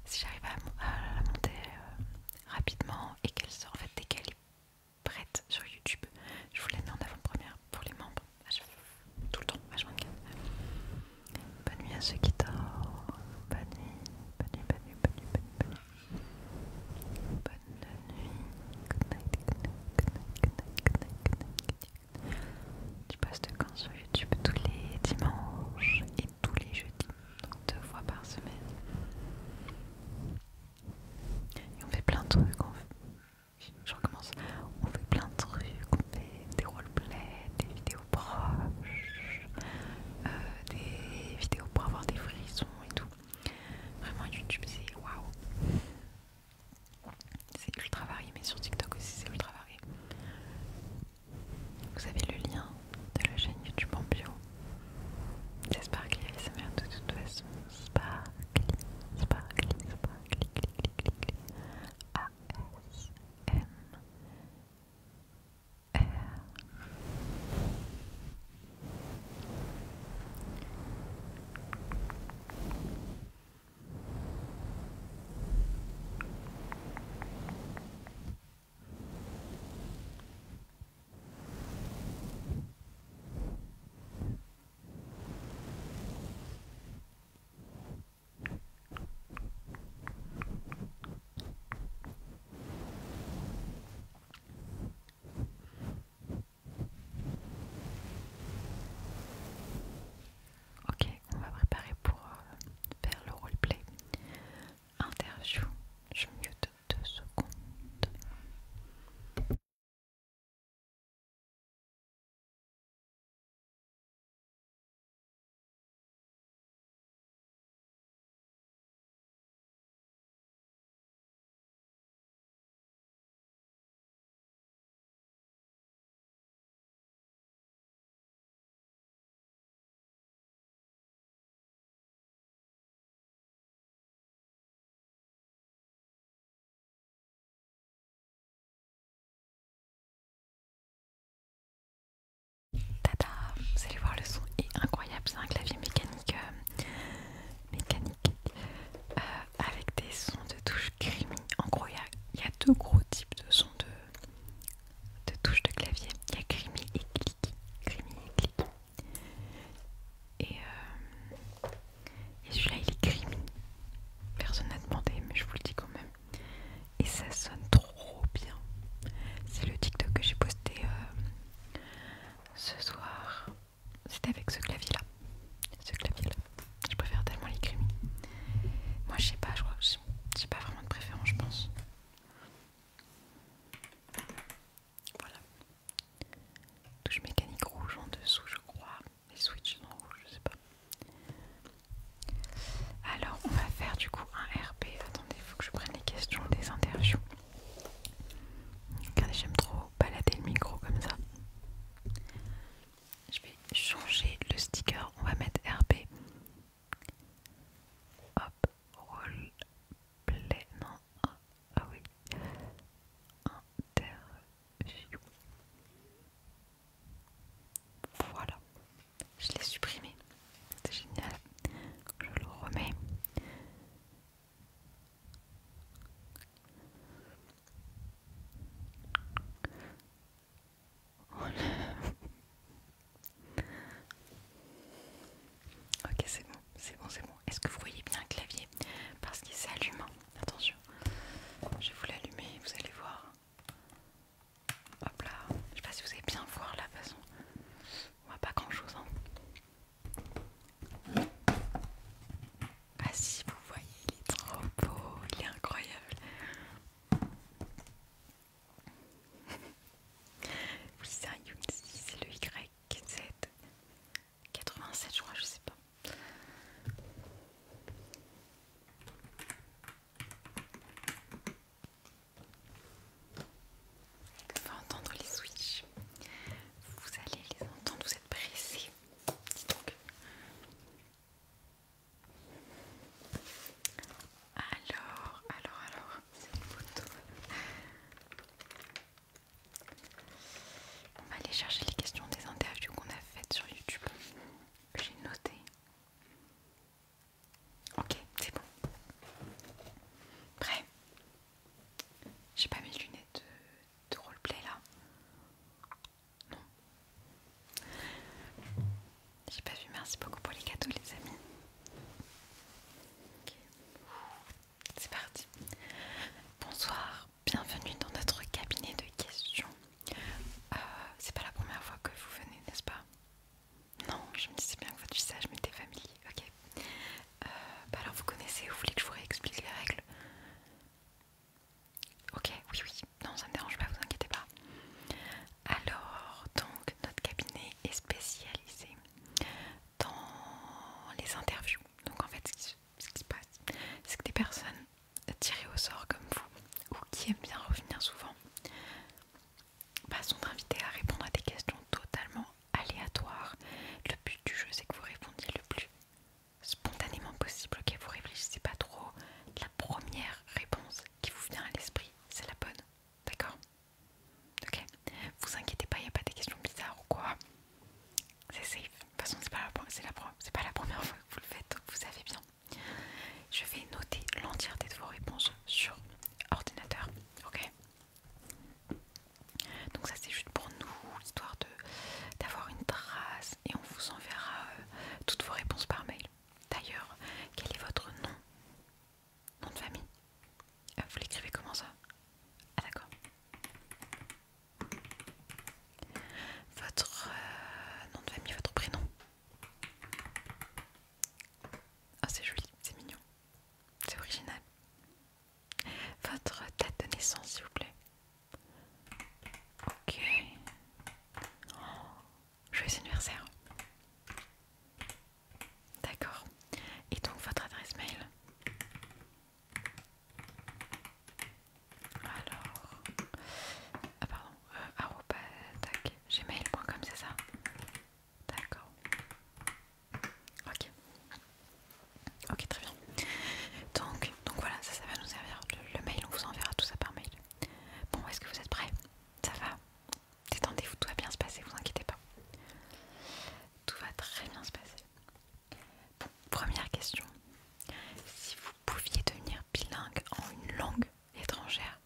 Si j'arrive à, la monter euh, rapidement et qu'elle sort, en fait, dès qu'elle est prête sur YouTube, je vous la mets en avant-première pour les membres, ah, tout le temps, vachement. Bonne nuit à ceux qui dorment. Bonne nuit, bonne nuit, bonne nuit, bonne nuit, bonne nuit. Bonne nuit. Bonne nuit. Good night, good night, good night, night. Tu postes quand sur YouTube tous les dimanches tous les jeudis, donc deux fois par semaine. Et on fait plein de trucs, on fait... je recommence, on fait plein de trucs, on fait des roleplays, des vidéos proches, euh, des vidéos pour avoir des frissons et tout. Vraiment YouTube c'est waouh, c'est ultra varié, mais sur TikTok aussi c'est ultra varié. Vous avez le lien de la chaîne YouTube en bio. C'est Sparkly bien de toute façon. Sparkly, Sparkly, Sparkly, A S Ok, on va préparer pour euh, faire le play interview. Je mute deux secondes. Tada Vous allez voir, le son est incroyable. C'est un clavier mécanique, euh, mécanique euh, avec des sons de touche creamy. En gros, il y a deux gros types de sons de de touches de clavier. Il y a crimi et Clicky. et euh, Et, celui-là, il est Personne n'a demandé, mais je vous le dis quand même. Et ça sonne trop bien. C'est le TikTok que j'ai posté euh, ce soir. C'était avec ce clavier-là. Ce clavier-là. Je préfère tellement les Moi, je sais pas, je crois j'ai pas vraiment de préférence, je pense. Voilà. Touche mécanique rouge en dessous, je crois. Les switches sont rouge je sais pas. Alors, on va faire du coup un RP. Attendez, il faut que je prenne les questions des interviews. Regardez, j'aime trop balader le micro comme ça. Je vais changer le sticker. On va mettre RP Hop, rôle non, ah, oui, interview. Voilà, je l'ai supprimé, c'est génial, je le remets. Oh Ok, c'est bon, c'est bon, c'est bon. Est-ce que vous voyez bien le clavier Parce qu'il s'allume. Attention, je vais vous l'allumer, vous allez voir. Hop là, je sais pas si vous allez bien voir la façon. On voit pas grand chose. Hein. Ah si, vous voyez, il est trop beau, il est incroyable oui, lisez un c'est le YZ 87, je crois, je sais pas. On va entendre les switches. Vous allez les entendre, vous êtes pressés. donc. Alors, alors, alors, c'est une photo. On va aller chercher les questions des interviews qu'on a faites sur YouTube. J'ai noté. Ok, c'est bon. Prêt J'ai pas mes lunettes de, de roleplay là. Non. J'ai pas vu, merci beaucoup pour les cadeaux les amis. Ok, C'est parti. Bonsoir, bienvenue dans notre cabinet de questions. Euh, c'est pas la première fois que vous venez, n'est-ce pas Non, je me disais bien que votre visage m'était familier. Ok. Euh, bah alors vous connaissez, vous voulez que je vous réexplique les règles Ok, oui, oui. Non, ça me dérange pas, vous inquiétez pas. Alors, donc, notre cabinet est spécialisé dans les interviews. Donc, en fait, ce qui, se passe, c'est que des personnes tirées au sort comme vous, ou qui aiment bien revenir souvent, bah, sont invitées à répondre à des questions totalement aléatoires. Le but du jeu, c'est que vous répondiez le plus spontanément possible, que vous réfléchissez pas trop. La première réponse qui vous vient à l'esprit, c'est la bonne. D'accord Ok Vous inquiétez pas, il n'y a pas des questions bizarres ou quoi. C'est safe. De toute façon, c'est pas, la, pas la première fois que vous le faites, donc vous savez bien. Je vais noter l'entièreté de vos réponses sur ordinateur. Ok donc ça c'est juste pour nous, histoire d'avoir une trace et on vous enverra euh, toutes vos réponses par mail. D'ailleurs, quel est votre nom Nom de famille euh, Vous l'écrivez comment ça Ah d'accord. Votre euh, nom de famille, votre prénom Ah c'est joli, c'est mignon, c'est original. Votre date de naissance s'il vous plaît. Ok. Oh, joyeux anniversaire. D'accord. Et donc votre adresse mail Alors... Ah pardon, euh, c'est ça D'accord. Ok. Ok très bien. Donc, donc voilà, ça, va nous servir. Le, le mail, on vous enverra tout ça par mail. Bon, est-ce que vous êtes prêts Ça va Détendez-vous, tout va bien se passer, vous inquiétez pas. Tout va très bien se passer. première question. Si vous pouviez devenir bilingue en une langue étrangère,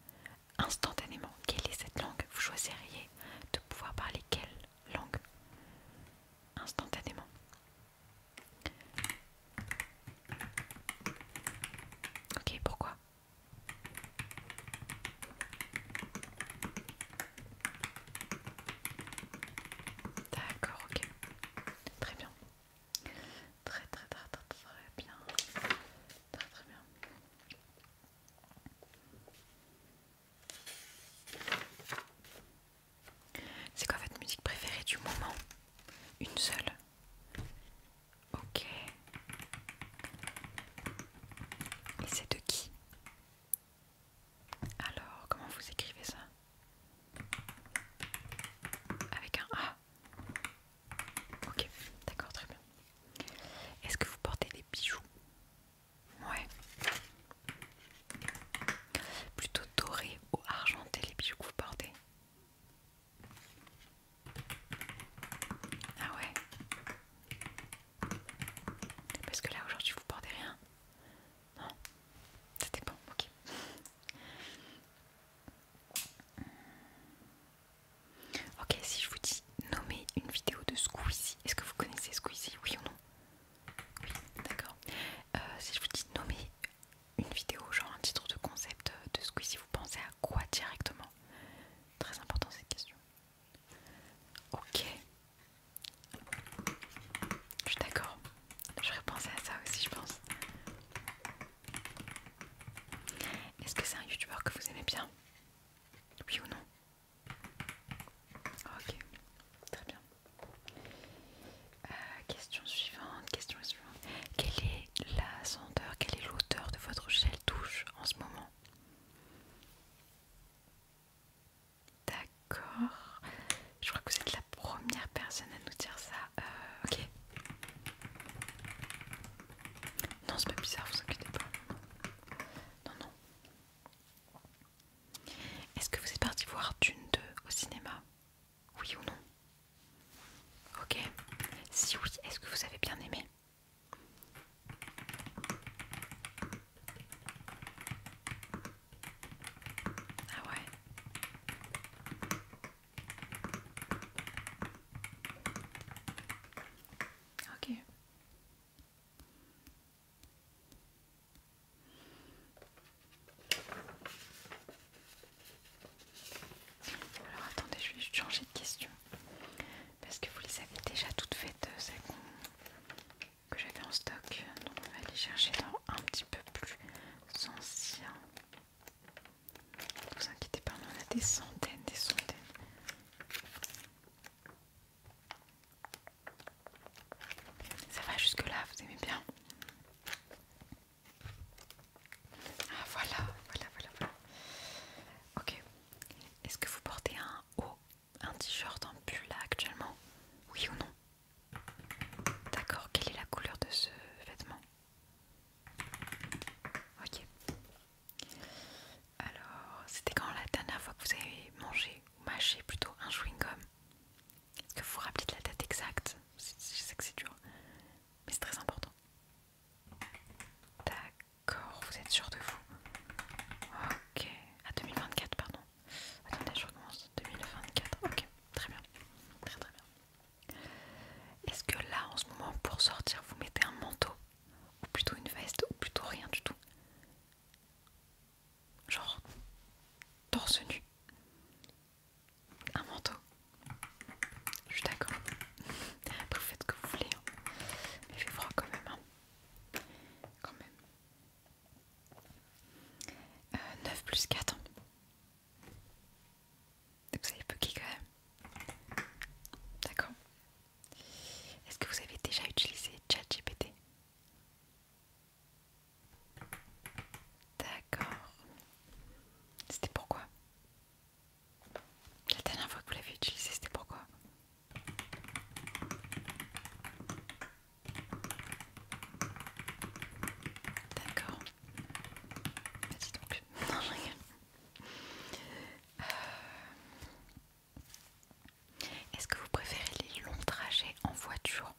instantanément, quelle est cette langue Vous choisiriez de pouvoir parler quelle langue Instantanément. Ok, pourquoi D'accord, ok. Très bien. Très très très très bien. Très très bien. C'est quoi votre musique préférée du moment Une seule Ok. Et c'est de qui Alors, comment vous écrivez ça Avec un A Ok, d'accord, très bien. Est-ce que vous portez des bijoux Ouais. Plutôt doré ou argenté les bijoux que vous portez Ah ouais parce que là aujourd'hui vous portez rien Non Ça dépend, ok. ok, si je vous dis nommer une vidéo de Squeezie, est-ce que vous connaissez Squeezie Oui ou non Oui, d'accord. Euh, si je vous dis nommer une vidéo, genre un titre de concept euh, de Squeezie, vous pensez à quoi directement Très important cette question. Ok. Je suis d'accord. J'aurais pensé à ça aussi, je pense. Est-ce que c'est un youtubeur que vous aimez bien Oui ou non Ok. Très bien. Euh, question suivante. Question suivante. Quelle est la senteur, quelle est l'auteur de votre gel douche en ce moment D'accord. Je crois que vous êtes la première personne à nous dire ça. Euh, ok. Non, c'est pas bizarre, vous inquiétez pas. Non, non. Est-ce que vous êtes parti voir Dune 2 au cinéma Oui ou non Ok. Si oui, est-ce que vous avez bien aimé ah ouais. Ok. Alors attendez, je vais changer de question parce que vous les avez déjà toutes faites, euh, que j'avais en stock. Donc on va aller chercher dans un petit peu plus ancien. Ne vous inquiétez pas, on en a des centaines, des centaines. Ça va jusque là, vous aimez bien Ah voilà, voilà, voilà, voilà. Ok. Est-ce que vous portez un haut un t-shirt en pull là actuellement Oui ou non D'accord, quelle est la couleur de ce vêtement Ok. Alors, c'était quand la dernière fois que vous avez mangé, ou mâché plutôt, un chewing-gum Est-ce que vous vous rappelez de la date exacte Je sais que c'est dur, mais c'est très important. Tac. D'accord, vous êtes sûr de vous Ok, à ah, 2024, pardon. Attendez, je recommence. 2024, ok, très bien. Très très bien. Est-ce que là, en ce moment, pour sortir, vous mettez un manteau Ou plutôt une veste Ou plutôt rien du tout Genre, torse nu un manteau, je suis d'accord. vous faites ce que vous voulez, hein. mais il fait froid quand même. Hein. Quand même. 9 euh, plus 4. Vous vous peu qui quand même. D'accord. Est-ce que vous avez déjà utilisé ChatGPT D'accord. C'était pourquoi La dernière fois que vous l'avez utilisé, c'était pourquoi D'accord. Bah dis donc. Non, j'ai euh, Est-ce que vous préférez les longs trajets en voiture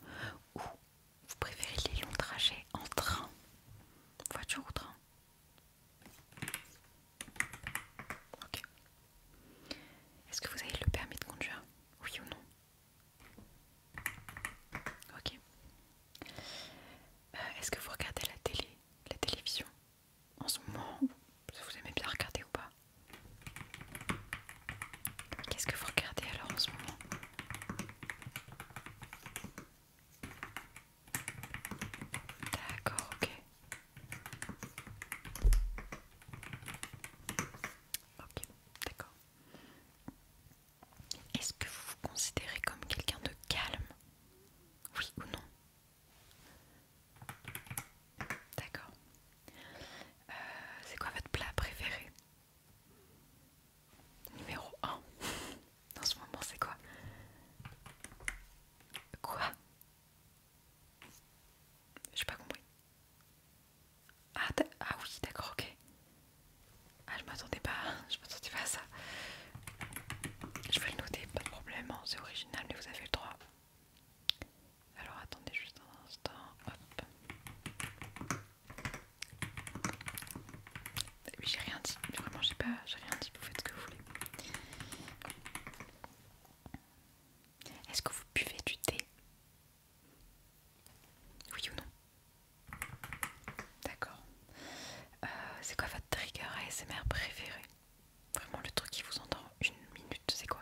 ou vous préférez les longs trajets en train Voiture ou train Ok. Est-ce que vous avez le permis de conduire Oui ou non Ok. Euh, est-ce que vous regardez la télé, la télévision En ce moment, vous aimez bien regarder ou pas Qu'est-ce que vous regardez alors en ce moment D'accord, ok. Ok, d'accord. Est-ce que vous vous considérez comme quelqu'un de calme Oui ou non D'accord. Euh, c'est quoi votre plat préféré Numéro 1 Dans ce moment, c'est quoi Quoi j'ai pas compris. Ah, ah, oui, d'accord, ok. Ah, je m'attendais pas, je m'attendais pas à ça. Je vais le noter, pas de problème, hein, c'est original, mais vous avez le droit. Alors attendez juste un instant, hop. Oui, j'ai rien dit, vraiment, j'ai pas, j'ai rien dit, vous faites ce que vous voulez. Est-ce que vous buvez du thé Oui ou non D'accord. Euh, c'est quoi votre trigger ASMR préféré Vraiment le truc qui vous entend une minute, c'est quoi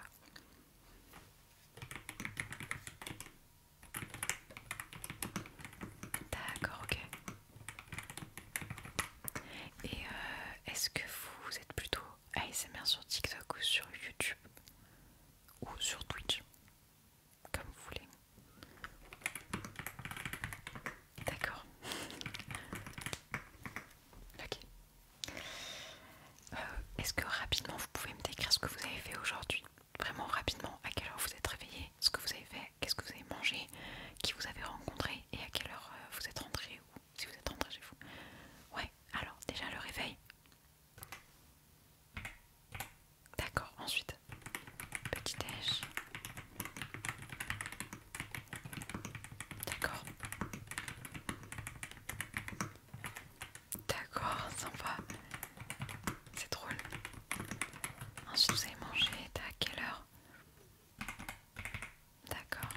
D'accord, ok. Et euh, est-ce que vous êtes plutôt ASMR sur TikTok ou sur YouTube ou sur Twitch, comme vous voulez. D'accord. Ok. Euh, est-ce que rapidement vous pouvez me décrire ce que vous avez fait aujourd'hui Vraiment rapidement, à quelle heure vous êtes réveillé, ce que vous avez fait, qu'est-ce que vous avez mangé, qui vous avez rencontré et à quelle heure euh, vous êtes rentré ou si vous êtes rentré chez vous. Ouais, alors, déjà le réveil. D'accord, ensuite, petit déj. D'accord. D'accord, sympa. C'est drôle. Ensuite, vous allez manger. T'as à quelle heure D'accord.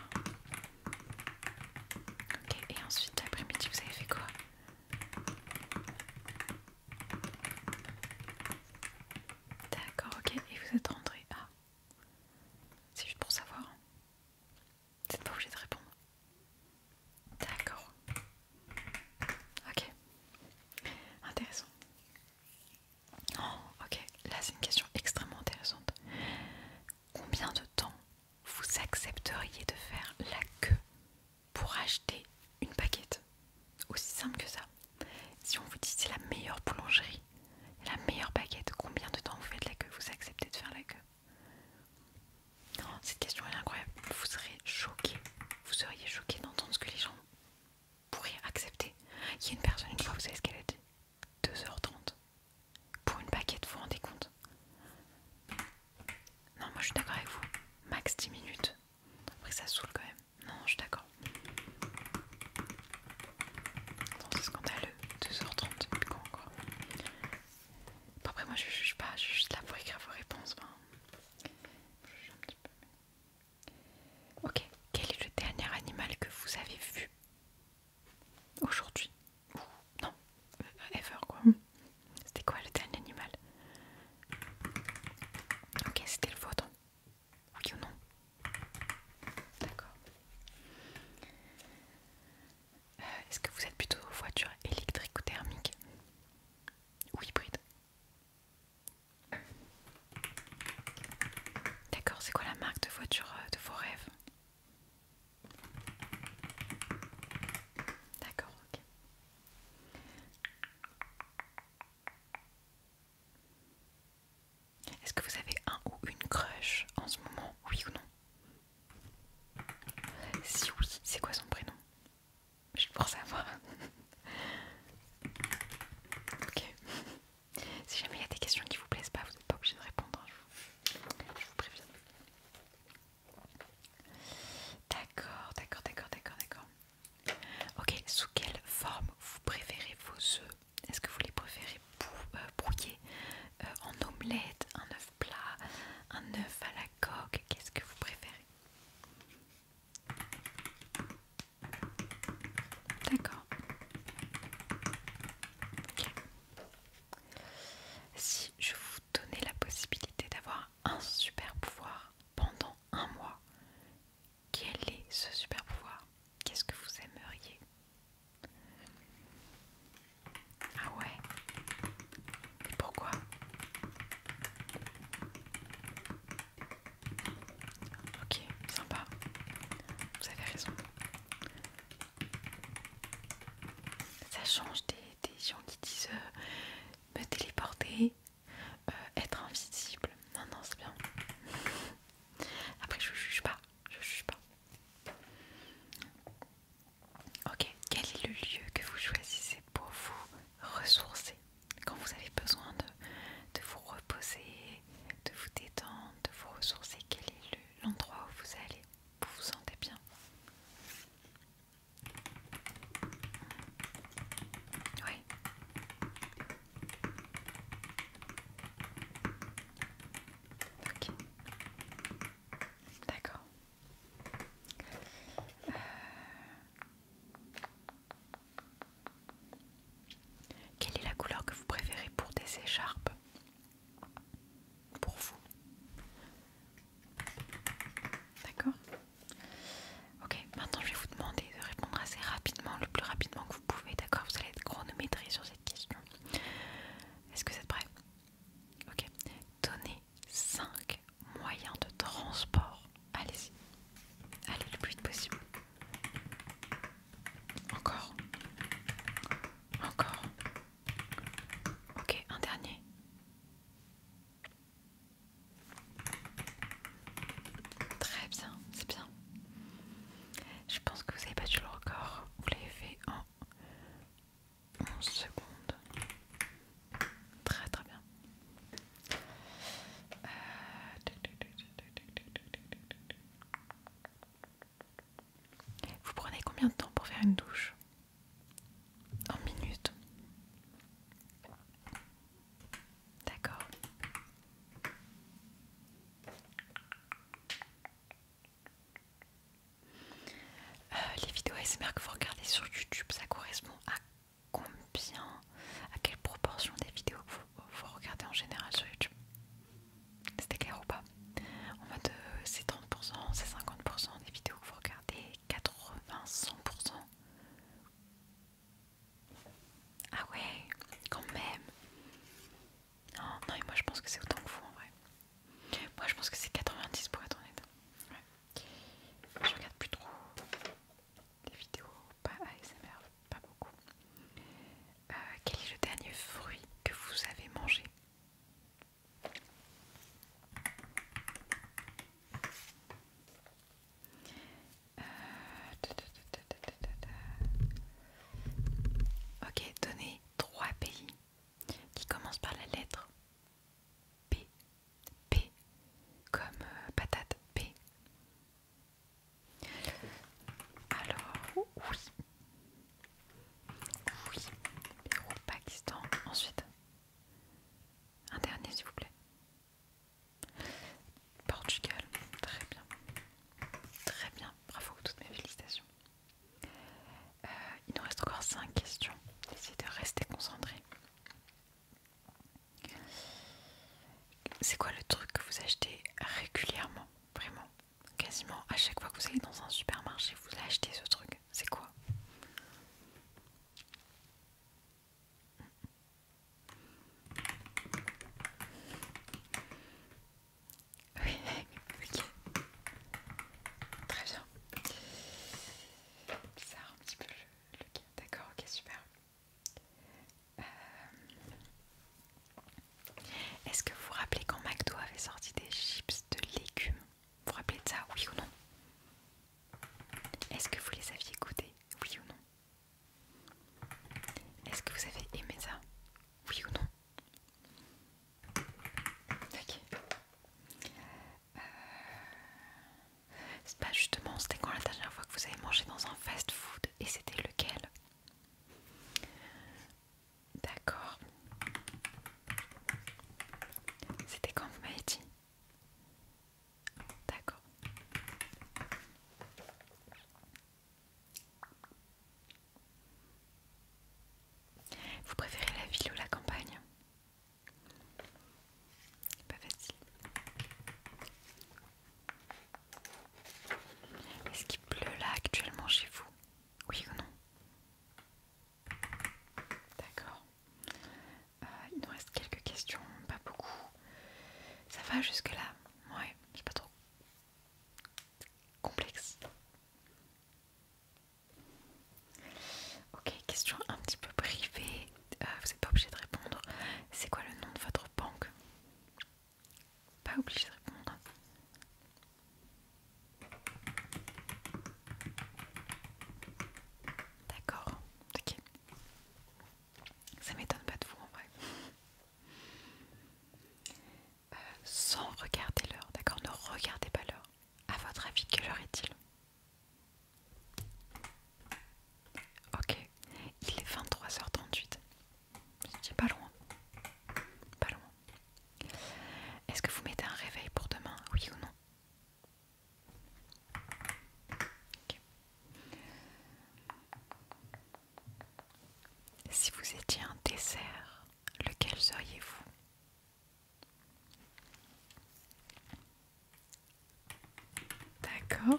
Ok, et ensuite l'après-midi, vous avez fait quoi D'accord, ok, et vous êtes rentré. Ah, c'est juste pour savoir. Hein. Vous n'êtes pas obligé de répondre. D'accord. Ok. Intéressant. Oh, ok. Là, c'est une question extrêmement intéressante. Combien de temps vous accepteriez de faire la queue pour acheter une baguette Aussi simple que ça. Si on vous dit c'est la meilleure boulangerie, la meilleure baguette, combien de temps vous faites la queue Vous acceptez de faire la queue Cette question est incroyable. Vous serez choqué. Vous seriez choqué d'entendre ce que les gens pourraient accepter. Il y a une personne, une fois, vous savez ce qu'elle a dit 2h30. Pour une paquette, vous vous rendez compte Non, moi je suis d'accord avec vous. Max 10 minutes. Après, ça saoule quand même. Non, je suis d'accord. C'est scandaleux. 2h30, quoi encore. Après, moi je juge pas, je suis juste là pour écrire vos réponses. je juge un petit peu. Ok, quel est le dernier animal que vous avez vu Aujourd'hui. ou Non, euh, ever quoi. Hmm. C'était quoi le dernier animal Ok, c'était le vôtre. Ok ou non D'accord. Euh, est-ce que vous êtes plutôt voiture électrique ou thermique Ou hybride D'accord, c'est quoi la marque de voiture euh, de vos rêves D'accord, ok. Est-ce que vous avez un ou une crush en ce moment, oui ou non Si oui, c'est quoi son prénom Je vais pour savoir. ok. Si jamais il y a des questions qui vous plaisent pas, vous n'êtes pas obligé de répondre. Hein. Je vous préviens. D'accord, d'accord, d'accord, d'accord, d'accord. Ok, sous quelle forme vous préférez vos œufs Est-ce que vous les préférez euh, brouillés euh, en omelette, un œuf plat, un œuf à la coque Qu'est-ce que vous préférez D'accord. Ok si je vous donnais la possibilité d'avoir un super pouvoir pendant un mois, quel est ce super pouvoir Qu'est-ce que vous aimeriez Ah ouais pourquoi Ok, sympa. Vous avez raison. Ça change des, gens qui disent euh, me téléporter, euh, être invisible. Non, non, c'est bien. Après, je juge pas. Je juge pas. Ok, quel est le lieu que vous choisissez pour vous ressourcer quand vous avez besoin de, vous reposer, de vous détendre, de vous ressourcer Quel est l'endroit où vous allez vous vous sentez bien Oui. D'accord. Euh. Quelle est la couleur que vous préférez pour des écharpes pour vous. D'accord Ok, maintenant je vais vous demander de répondre assez rapidement, le plus rapidement que vous pouvez, d'accord Vous allez être chronométré sur cette question. Est-ce que vous êtes prêts Ok. Donnez 5 moyens de transport. Allez-y. Allez le plus vite possible. Encore. Encore. Ok, un dernier. Très bien, c'est bien. Je pense que vous avez battu le record. Vous l'avez fait en 11 secondes. Très très bien. Euh, vous prenez combien de temps pour faire une douche en minutes. D'accord. Euh, les vidéos ASMR que vous regardez sur YouTube, ça correspond à combien, à quelle proportion des vidéos vous, vous regardez en général sur YouTube C'était clair ou pas on En de 70%, c'est 30%, 50% des vidéos que vous regardez, 80, 100%. Ah ouais, quand même. Oh, non, et moi je pense que c'est autant que vous en vrai. Moi je pense que c'est 90 pour être honnête. Je regarde plus trop des vidéos, pas ASMR, pas beaucoup. Euh, quel est le dernier fruit que vous avez mangé Ok, donnez trois pays qui commencent par la lettre P. P comme euh, patate P. Alors, oui. Oui, Pakistan, ensuite un dernier, s'il vous plaît. Portugal, très bien. Très bien, bravo, toutes mes félicitations. Euh, il nous reste encore 5 questions. Essayez de rester concentré. C'est quoi le truc que vous achetez régulièrement Vraiment Quasiment à chaque fois que vous allez dans un supermarché, vous achetez ce truc c'est quoi Oui, ok. Très bien. Ça un petit peu le, le D'accord, ok, super. Euh, est-ce que vous vous rappelez quand McDo avait sorti des chips de légumes vous vous rappelez de ça, oui ou non Est-ce que vous les aviez goûtés, oui ou non Est-ce que vous avez aimé ça, oui ou non Ok. C'est euh, pas bah, justement, c'était quand la dernière fois que vous avez mangé dans un fast-food et c'était lequel D'accord. C'était quand vous m'avez dit D'accord. Vous préférez la ville ou la campagne Pas facile. Est-ce qu'il pleut là actuellement chez vous Oui ou non D'accord. Euh, il nous reste quelques questions, pas beaucoup. Ça va jusque-là Ouais, c'est pas trop complexe. Ok, question un petit peu privée, euh, vous n'êtes pas obligé de répondre. C'est quoi le nom de votre banque Pas obligé de répondre. D'accord, ok. Ça m'étonne pas de vous en vrai. Euh, sans regarder l'heure, d'accord Ne regardez pas l'heure. À votre avis, quelle heure est-il Ok, il est 23h38. C'est pas loin. Pas loin. Est-ce que vous mettez un réveil pour demain Oui ou non si vous étiez un dessert, lequel seriez-vous D'accord.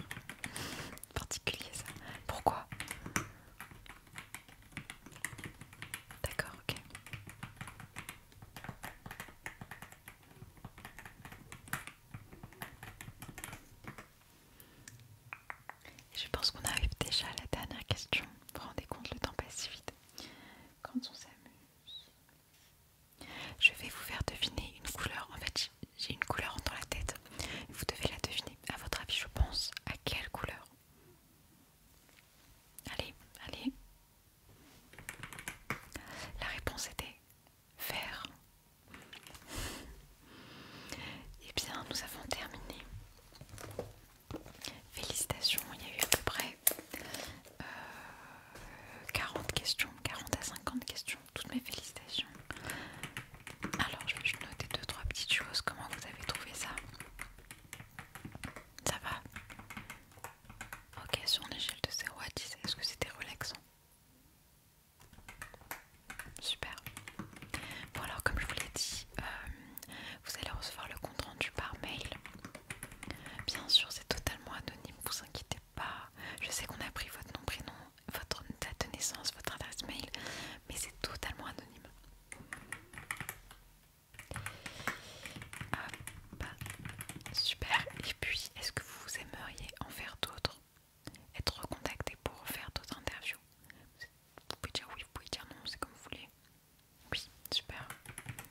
Particulier ça. Pourquoi D'accord, ok. Je pense qu'on arrive déjà à la dernière question. Vous vous rendez compte, le temps passe si vite. Quand on s'amuse. Je vais vous faire deviner une couleur. En fait, j'ai une couleur dans la tête. Vous devez la deviner. À votre avis, je pense à quelle couleur Allez, allez, la réponse était vert. Eh bien, nous avons terminé. Félicitations, il y a eu à peu près 40 euh, questions, 40 à 50 questions. Toutes mes félicitations. Alors, je vais juste noter 2-3 petites choses. Comment vous avez trouvé ça Ça va Ok, sur une échelle de 0 à 10, est-ce que c'était relaxant Super. Bon alors comme je vous l'ai dit, euh, vous allez recevoir le compte rendu par mail. Bien sûr, c'est totalement anonyme, vous inquiétez pas. Je sais qu'on a pris votre nom, prénom, votre date de naissance, votre adresse mail, mais c'est totalement anonyme. Ah, bah, super. Et puis, est-ce que vous aimeriez en faire d'autres Être recontacté pour faire d'autres interviews Vous pouvez dire oui, vous pouvez dire non, c'est comme vous voulez. Oui, super.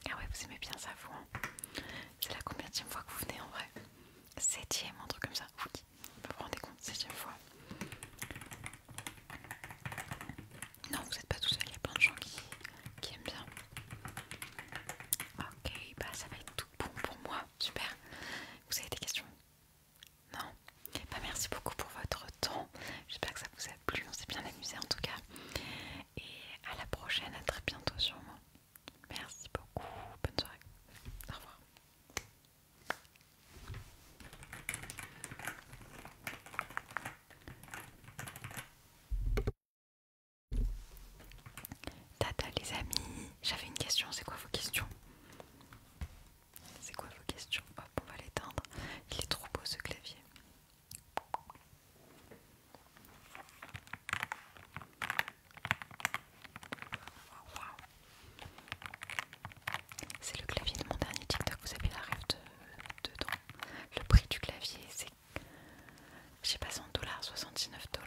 Ah ouais, vous aimez bien ça, vous. Hein. c'est la combien fois que vous venez en vrai Septième, un truc comme ça. vous vous rendez compte, septième fois. Non, vous n'êtes pas tout seul, il y a plein de gens qui aiment bien. Ok, bah ça va être tout bon pour moi. Super. Vous avez des questions Non bah, Merci beaucoup pour votre temps. J'espère que ça vous a plu. On s'est bien amusé en tout cas. Et à la prochaine, à très bientôt sûrement. Merci beaucoup. Bonne soirée. Au revoir. Tata les amis, j'avais une question, c'est quoi vos questions C'est quoi vos questions Hop, on va l'éteindre. Il est trop beau ce clavier. C'est le clavier de mon dernier TikTok, vous avez la rêve de, dedans. Le prix du clavier, c'est j'ai pas cent dollars, soixante-dix-neuf dollars.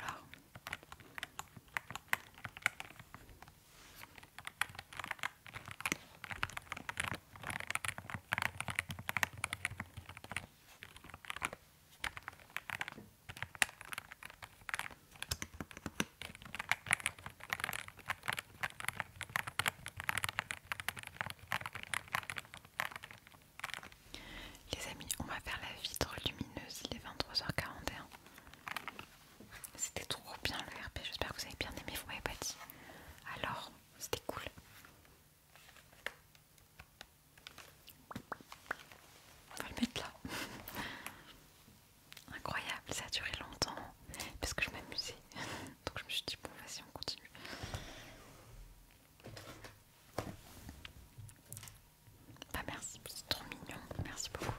Les amis, on va faire la vitre lumineuse, il est 23h41. C'était trop bien le RP, j'espère que vous avez bien aimé, vous m'avez pas dit. Alors, c'était cool. On va le mettre là. Incroyable, ça a duré longtemps parce que je m'amusais. Donc je me suis dit bon vas-y on continue. Bah merci, c'est trop mignon, merci beaucoup.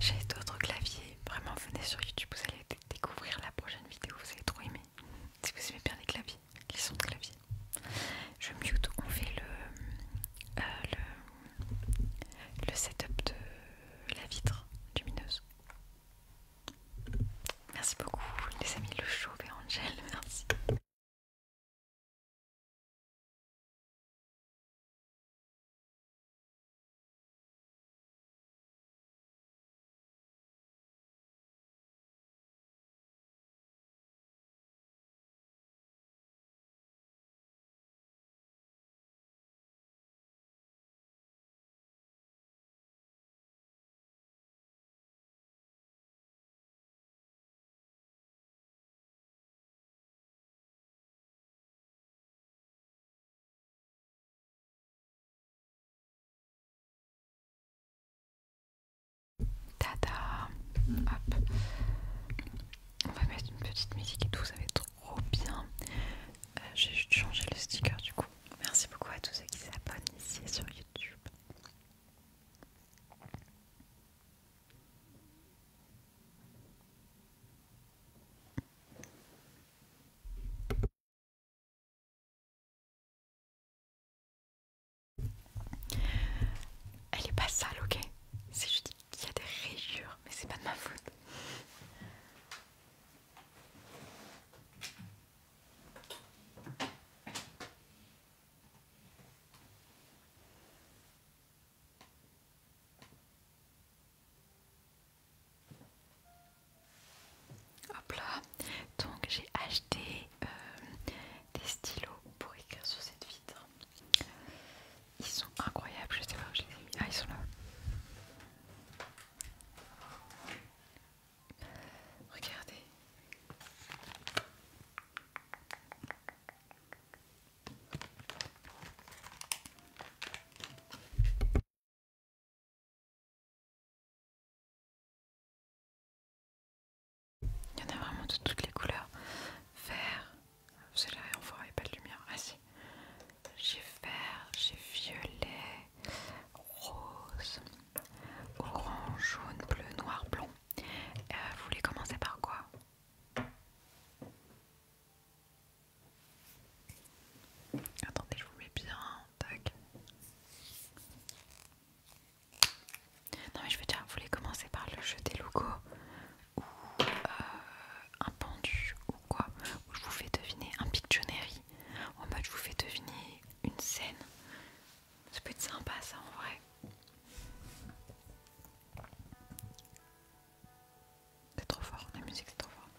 J'ai d'autres claviers, vraiment venez sur YouTube, vous allez découvrir la prochaine vidéo, vous allez trop aimer. Si vous aimez bien les claviers, les sons de clavier. Je mute, on fait le, euh, le, le setup de la vitre lumineuse. Merci beaucoup les amis Le Chauve et Angel, merci. Tada Hop. On va mettre une petite musique et tout, ça va être trop bien. Euh, j'ai juste changé le sticker du coup. Merci beaucoup à tous ceux qui s'abonnent ici sur YouTube elle est pas sale, ok C'est juste qu'il y a des rayures, mais c'est pas de ma faute. Hop là, donc j'ai acheté euh, des stylos pour écrire sur cette vitre. Ils sont incroyables, je sais pas où je les ai mis. Ah, ils sont là. Regardez. Il y en a vraiment de toutes les couleurs. Vert, Vous là, on voit, il n'y a pas de lumière. Ah si, j'ai vert, j'ai violet, rose, orange, jaune, bleu, noir, blond euh, vous voulez commencer par quoi Attendez, je vous mets bien. Non, mais je veux dire, vous voulez commencer par le jeu des logos ou euh, un pendu ou quoi je vous fais deviner un ou En mode, je vous fais deviner une scène c'est plus sympa ça en vrai. C'est trop fort, la musique c'est trop fort.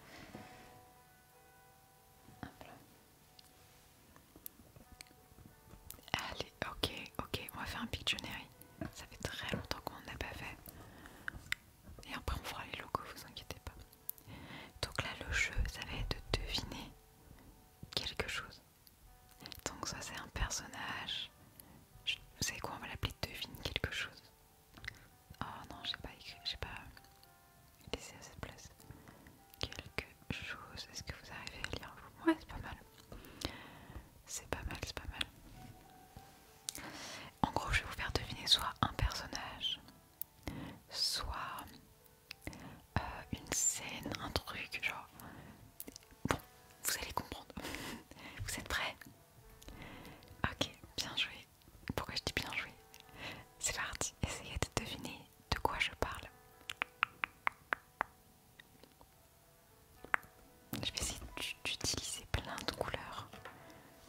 Allez, ok, ok, on va faire un Pictionary. Ça fait très longtemps qu'on n'a pas fait. Et après on fera les logos, vous inquiétez pas. Donc là le jeu, ça va être de deviner quelque chose. Donc ça c'est un personnage. vous savez quoi, on va l'appeler devine quelque chose. Oh non, j'ai pas écrit, j'ai pas laissé à cette place. Quelque chose, est-ce que vous arrivez à lire Ouais, c'est pas mal. C'est pas mal, c'est pas mal. En gros, je vais vous faire deviner soit un personnage, soit euh, une scène, un truc, genre. Bon, vous allez comprendre. vous êtes prêts Ok, bien joué. Pourquoi je dis bien joué C'est parti, essayez de deviner de quoi je parle. Je vais essayer d'utiliser plein de couleurs.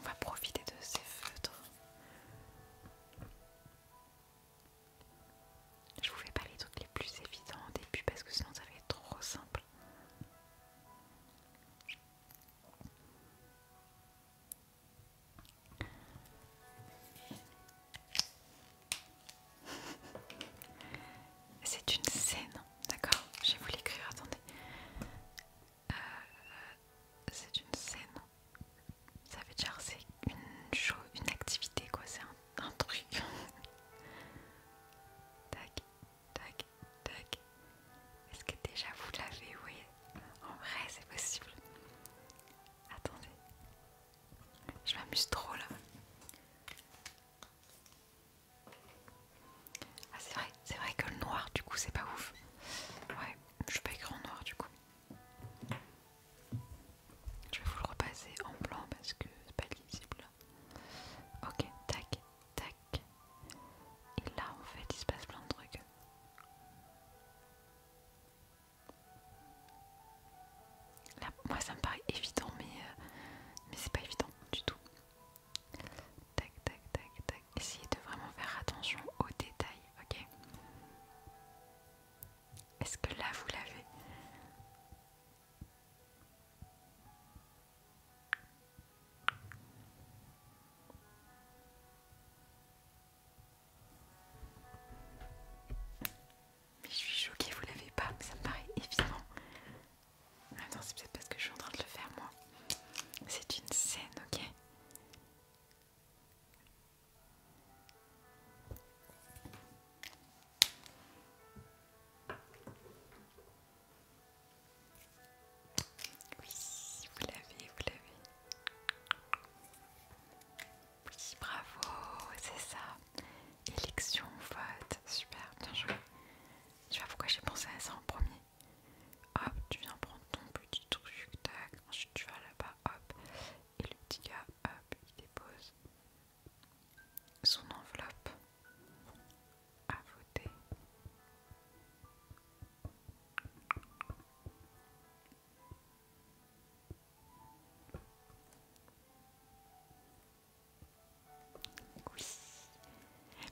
On va profiter de ces feutres. Je vous fais pas les trucs les plus évidents au début parce que sinon ça va être trop simple. C'est une scène, d'accord Je vais vous l'écrire, attendez. Euh, euh, c'est une scène. Ça veut dire c'est une une activité quoi, c'est un, truc. tac, tac, tac. Est-ce que déjà vous l'avez Oui. En vrai c'est possible. Attendez. Je m'amuse trop là. Ah c'est vrai, c'est vrai que le noir du coup c'est pas ouf. Ouais, je suis pas en noir du coup. Je vais vous le repasser en blanc parce que c'est pas lisible. Ok, tac, tac. Et là, en fait, il se passe plein de trucs. Là, moi, ça me paraît évident, mais, euh, mais c'est pas évident du tout. Tac, tac, tac, tac. Essayez de vraiment faire attention aux détails, ok est-ce que là vous l'avez Mais je suis choquée, vous l'avez pas, mais ça me paraît évident. Attends, c'est peut-être parce que je suis en train de le faire moi. C'est une scène, ok oui, vous l'avez, vous l'avez. Oui, bravo, c'est ça. Élection, vote, super, bien joué. Tu vois pourquoi j'ai pensé à ça en premier Hop, tu viens prendre ton petit truc, tac, ensuite tu vas là-bas, hop. Et le petit gars, hop, il dépose son enveloppe à voter. Oui.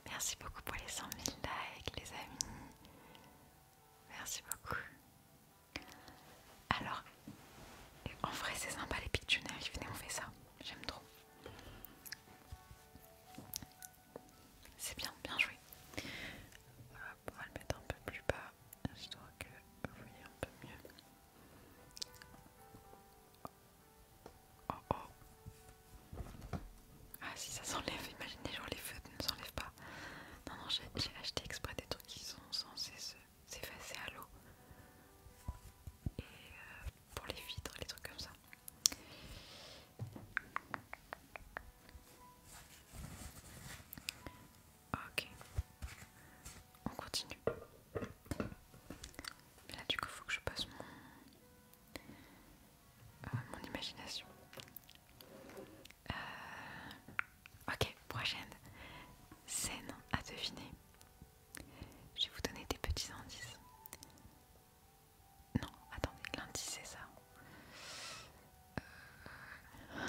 Merci beaucoup pour les 100 000 likes, les amis. Merci beaucoup. Alors, en vrai, c'est sympa les Pictionary. Venez, on fait ça. J'aime trop. C'est bien, bien joué. on va le mettre un peu plus bas. Je que vous voyez un peu mieux. Oh, oh, oh. Ah, si ça s'enlève, imaginez, genre les feux ne s'enlèvent pas. Non, non, j'ai acheté exprès des trucs qui sont censés se s'effacer à l'eau et euh, pour les vitres, les trucs comme ça. Ok, on continue. là, du coup, faut que je passe mon, euh, mon imagination. Euh... Ok, prochaine scène à deviner. Je vais vous donner des petits indices. Non, attendez, l'indice c'est ça. Euh,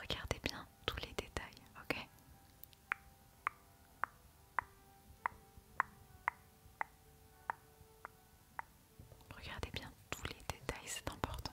regardez bien tous les détails, ok Regardez bien tous les détails, c'est important.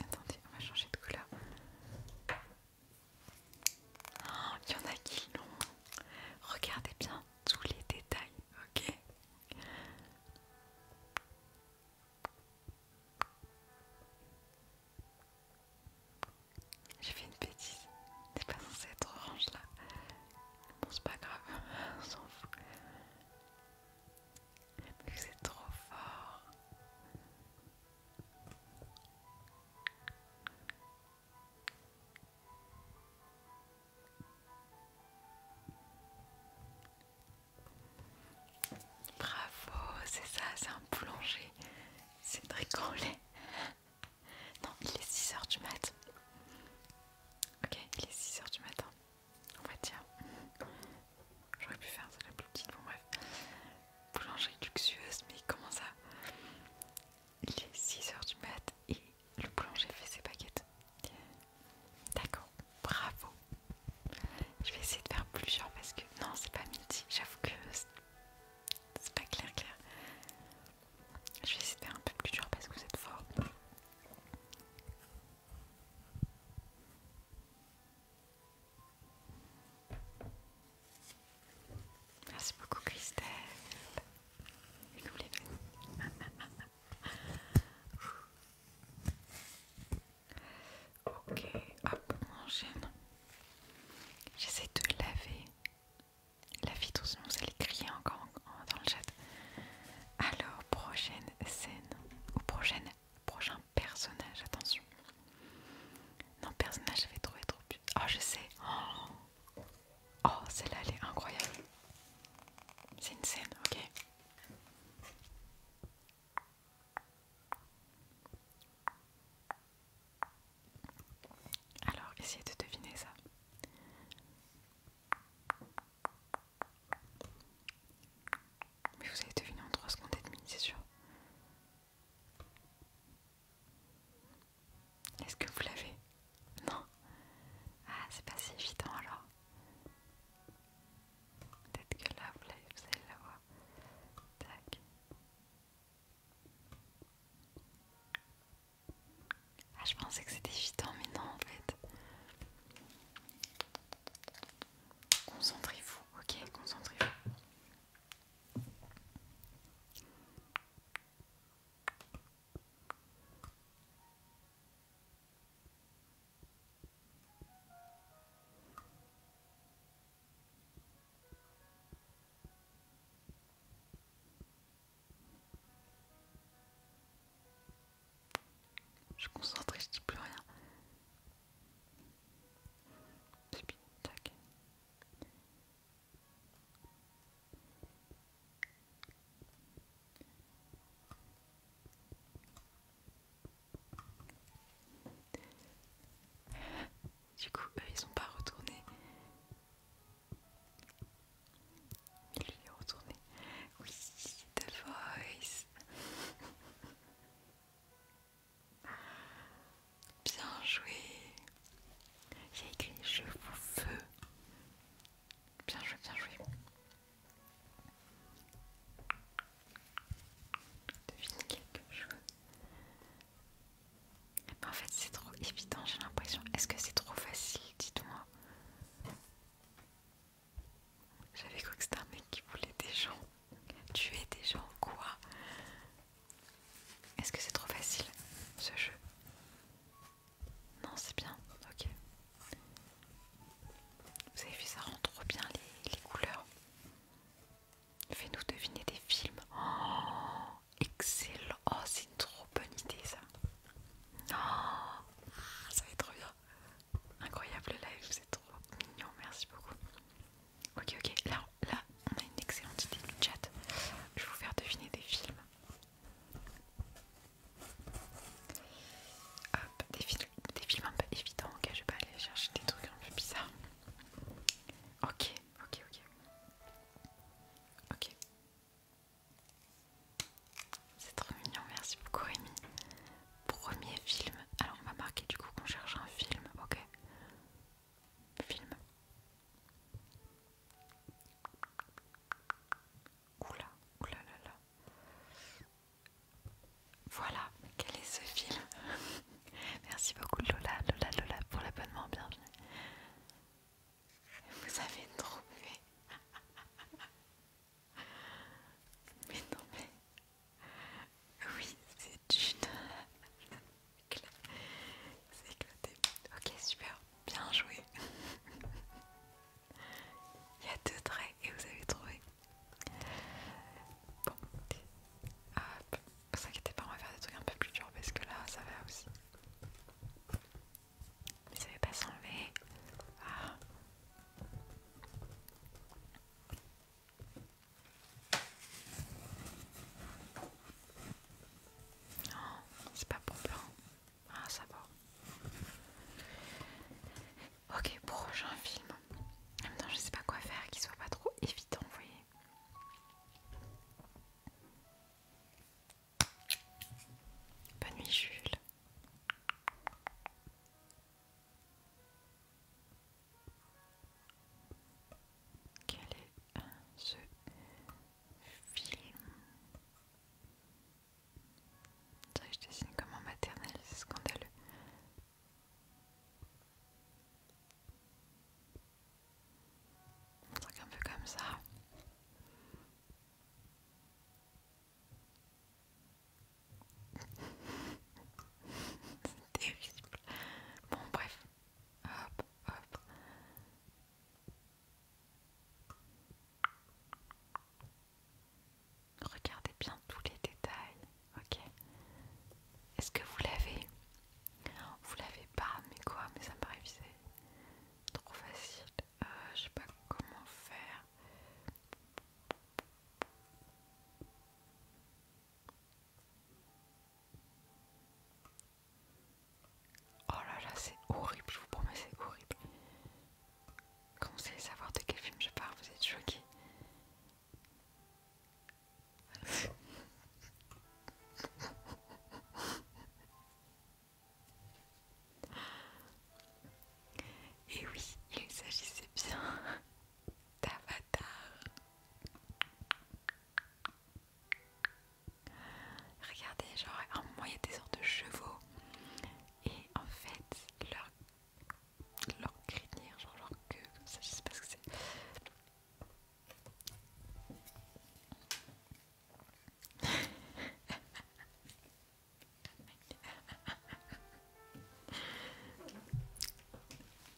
Attendez, on va changer de couleur. Oh, il y en a qui non. Regardez bien tous les détails, ok J'ai fait une bêtise. C'est pas censé être orange là. Bon, c'est pas grave, on s'en fout. trop fort. Bravo, c'est ça, c'est un boulanger. C'est bricolé. Non, il est 6h du matin. Ok, il est 6h du matin. On va dire. J'aurais pu faire ça la plus petite, bon bref. Boulangerie luxueuse, mais comment ça Il est 6h du mat et le boulanger fait ses baguettes. D'accord, bravo. Je vais essayer de faire dur parce que non, c'est pas midi, j'avoue que c'est pas clair, clair. Je vais essayer de faire un peu plus dur parce que vous êtes fort. Merci beaucoup Christelle. Ok, hop, on enchaîne. J'essaie de laver. La vitre sinon C'est les crier encore dans le chat. Alors, prochaine scène ou prochaine Prochain personnage, attention. Non, personnage, j'avais trouvé trop. Oh, je sais. Oh, celle-là, elle est incroyable. C'est une scène, ok. Alors, essayez de deviner ça. Mais vous avez deviné en trois secondes et demie, c'est sûr. Est-ce que vous l'avez Non Ah, c'est pas si évident alors. Peut-être que là, vous l'avez, vous allez l'avoir. Tac. Ah, je pensais que c'était évident, mais non en fait. Concentrez-vous, ok Concentrez-vous. Je concentre, concentrée, je dis plus rien. Du coup, eux, ils sont pas retournés. Il lui est retourné. Oui, The Voice. Bien joué. Il a écrit je vous veux. Bien joué, bien joué. Devine quelque chose. en fait, c'est trop évident, j'ai l'impression. Est-ce que c'est trop facile Dites-moi. J'avais cru que c'était un mec qui voulait des gens. Tu es déjà en quoi Est-ce que c'est trop facile ce jeu Non, c'est bien, ok. Vous avez vu, ça rend trop bien les, couleurs. Fais-nous deviner des films. Oh, excellent. Oh, c'est une trop bonne idée ça. Oh, ça va être trop bien. Incroyable le live, c'est trop mignon. Merci beaucoup. Ok, ok, là, là on a une excellente idée du chat. Je vais vous faire deviner des films. Hop, des, films des films un peu évidents, ok, je vais pas aller chercher des trucs un peu bizarres. Ok, ok, ok. Ok. C'est trop mignon, merci beaucoup Rémi. Premier film. Alors on va marquer du coup qu'on cherche un film, ok film. Oula, oula Voilà, quel est ce film Merci beaucoup Lola, Lola, Lola pour l'abonnement, bienvenue. Vous avez trouvé Mais non mais oui, c'est une... C'est éclaté. Ok, super. Bien joué. Il y a deux traits et vous avez trouvé. Bon. Hop. Vous inquiétez pas, on va faire des trucs un peu plus durs parce que là, ça va aussi. Vous ça ne pas s'enlever. Ah. Non, oh, c'est pas pour blanc. Ah, ça va. Ok, prochain film. Maintenant, je sais pas quoi faire qui soit pas trop évident, vous voyez. Bonne nuit, Jules. Quel est euh, ce film je dessine comme en maternelle, c'est scandaleux. C'est un peu comme ça. c'est terrible. Bon, bref. Hop, hop. Regardez bien tous les détails, ok Est-ce que vous l'avez Vous l'avez pas, mais quoi Mais ça me paraît trop facile. Euh, je sais pas comment faire. Oh là là, c'est horrible, je vous promets, c'est horrible. Quand à savoir de quel film je parle, vous êtes choqués. Et oui, il s'agissait bien d'Avatar. Regardez, genre, en un il y a des sortes de chevaux et en fait leur, leur crinière, genre leur queue, comme ça, je sais pas ce que c'est.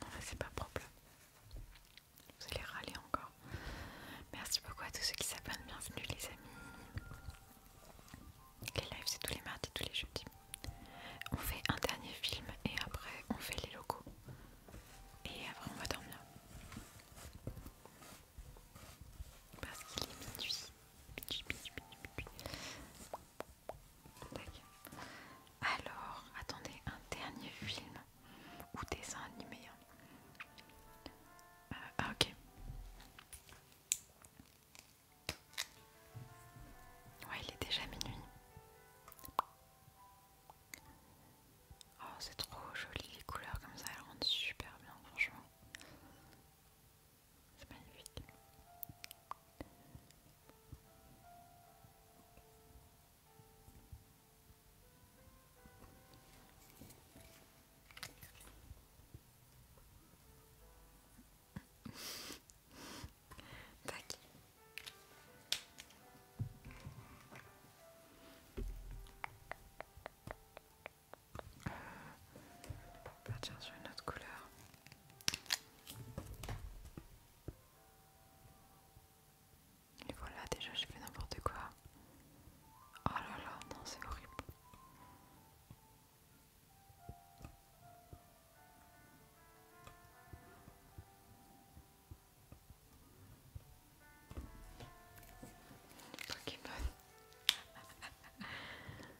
non, mais c'est pas propre. Vous allez râler encore. Merci beaucoup à tous ceux qui s'abonnent. Bienvenue, les amis. Les lives, c'est tous les mardis, tous les jeudis. On fait un dernier film et après, on fait les locaux. Et après, on va dormir. Parce qu'il est minuit. Alors, attendez, un dernier film ou dessin animé. Hein. Euh, ah, ok. Ouais, il est déjà minuit. Oh, c'est trop joli les couleurs comme ça, elles rendent super bien, franchement. C'est magnifique. Tac. On partir sur une autre couleur. Et voilà, déjà j'ai fait n'importe quoi. Oh là là, non, c'est horrible. Pokémon.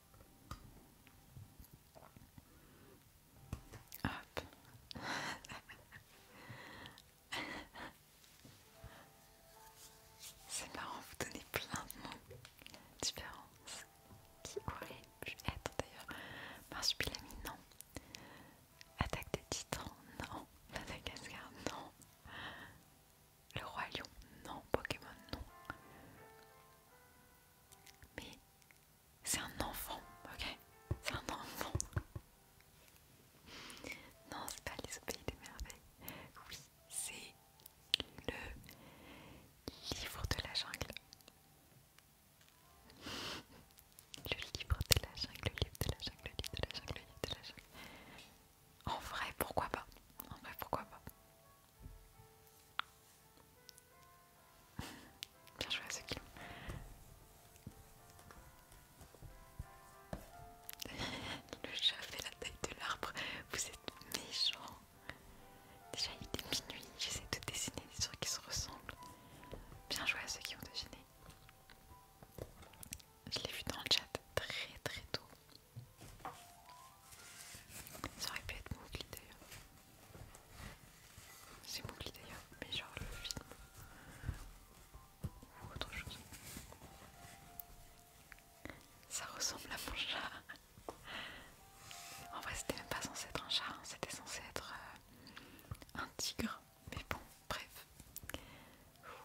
C'est marrant, vous donnez plein de noms différents. Qui aurait pu être d'ailleurs Marsupilami, non. Attaque des titans, non. Madagascar, non. Le roi lion, non. Pokémon, non. Mais c'est un enfant, ok C'est un enfant. Non, c'est pas les au des merveilles. Oui, c'est le livre de la jungle. Le livre de la jungle, le livre de la jungle, le livre de la jungle, le livre de la jungle. En vrai, pourquoi pas En vrai, pourquoi pas Bien joué à ceux qui ont Le chat fait la taille de l'arbre. Vous êtes méchants. Déjà, il est minuit. J'essaie de dessiner des trucs qui se ressemblent. Bien joué à ceux qui ont dessiné Je l'ai vu dans le chat très très tôt. Ça aurait pu être mon clip d'ailleurs. C'est Mowgli d'ailleurs, mais genre le film ou autre chose. Ça ressemble à mon chat. En vrai, c'était même pas censé être un chat, hein. c'était censé être euh, un tigre. Mais bon, bref.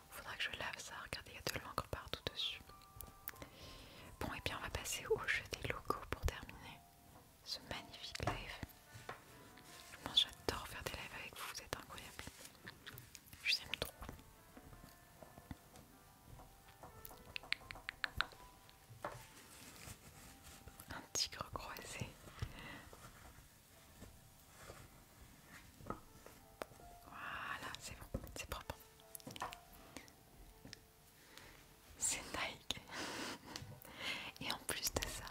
Faudra que je lave ça. Regardez, il y a de l'encre partout dessus. Bon, et eh bien on va passer au jeu des locaux pour terminer ce magnifique live. Moi j'adore faire des lives avec vous, vous êtes incroyable. Je vous aime trop. Un tigre croisé. Voilà, c'est bon, c'est propre c'est Nike et en plus de ça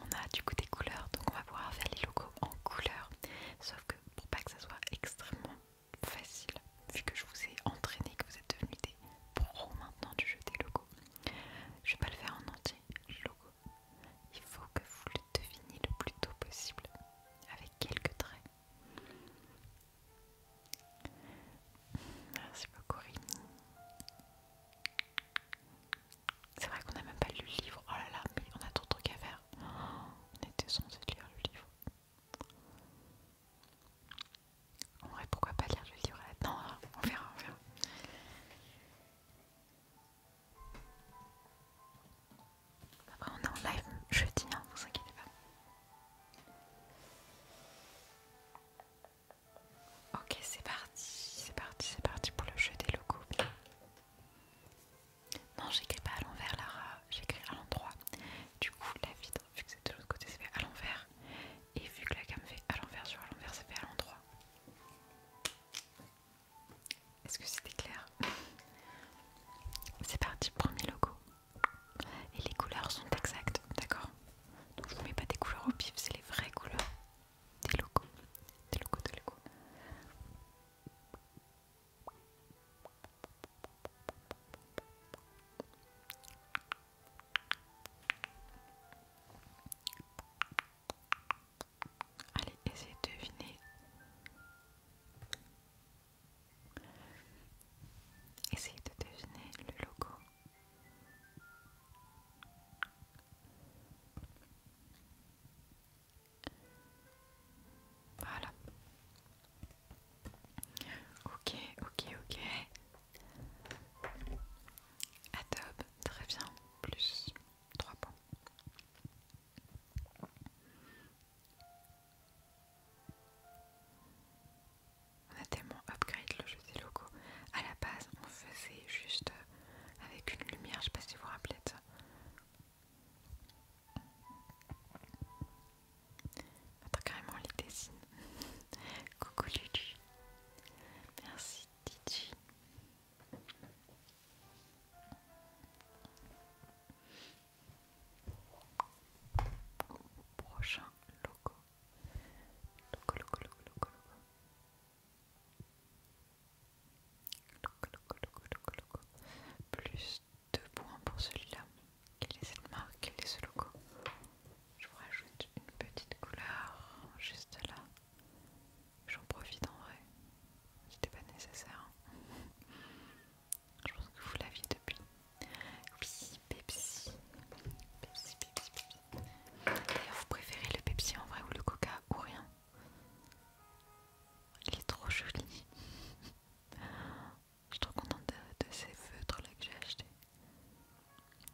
on a du coup des couleurs donc on va pouvoir faire les logos en couleurs sauf que pour pas que ça soit extrêmement facile vu que je vous ai entraîné que vous êtes devenus des pros maintenant du jeu des logos je vais pas le faire en entier le logo il faut que vous le deviniez le plus tôt possible avec quelques traits Merci beaucoup Rini. C'est vrai qu'on a même pas lu le livre. Oh là là, mais on a d'autres de trucs à faire. Oh, on était censé lire le livre. En vrai, pourquoi pas lire le livre Non, on verra, on verra. Après, on est en live jeudi, hein, vous inquiétez pas. Ok, c'est parti, c'est parti, c'est parti pour le jeu des logos. Non, j'écris pas à l'envers, Lara, j'écris à l'endroit. Du coup, la vitre, vu que c'est de l'autre côté, c'est fait à l'envers. Et vu que la gamme fait à l'envers sur à l'envers, ça fait à l'endroit. Est-ce que c'était clair C'est parti, premier logo. Et les couleurs sont exactes, d'accord donc je vous mets pas des couleurs au pif, c'est les vraies couleurs des logos. Des logos des logos. Allez, essayez de deviner. Essayez de deviner le logo voilà. Ok, ok, ok. Adobe, très bien. Plus 3 points on a tellement upgrade le jeu des logos. À la base, on faisait juste euh, avec une lumière, je sais pas si vous vous rappelez de ça. Attends, carrément, on les dessine. Coucou Ludi, Merci Titi. prochain logo. Plus deux points pour celui-là. Quelle est cette marque Quel est ce logo Je vous rajoute une petite couleur juste là. J'en profite en vrai. C'était pas nécessaire. Je pense que vous l'aviez depuis. Pepsi, Pepsi, Pepsi. D'ailleurs, vous préférez le Pepsi en vrai ou le Coca ou rien Il est trop joli. Je suis trop contente de, ces feutres là que j'ai acheté.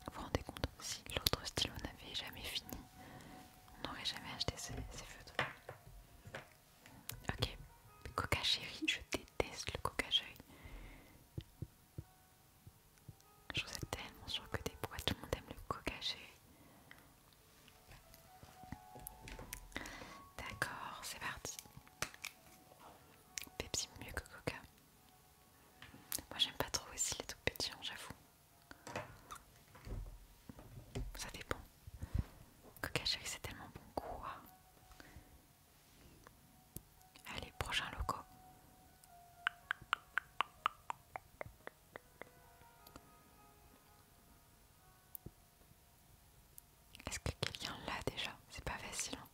Vous vous rendez compte Si l'autre stylo n'avait jamais fini, on n'aurait jamais acheté ces, feutres. Ok, Coca chérie, je déteste le Coca chérie. Je tellement ai tellement des bois, tout le monde aime le coca D'accord, c'est parti. Pepsi mieux que coca. Moi j'aime pas trop aussi les tout petits, j'avoue. Ça dépend. Coca cherry c'est tellement bon. Quoi Allez, prochain logo Est-ce que quelqu'un l'a déjà C'est pas facile. Hein.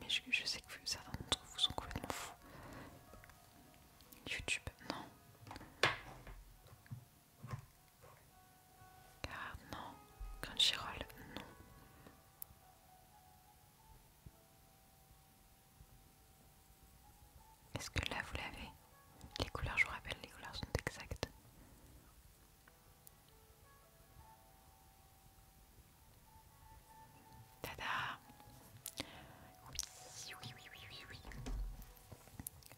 Mais je, sais que certains d'entre vous sont complètement fous. YouTube, non. Car non. Crunchyroll, non. Est-ce que là vous l'avez Les couleurs, je vous rappelle, les couleurs sont exactes. Tada Oui, oui, oui, oui, oui.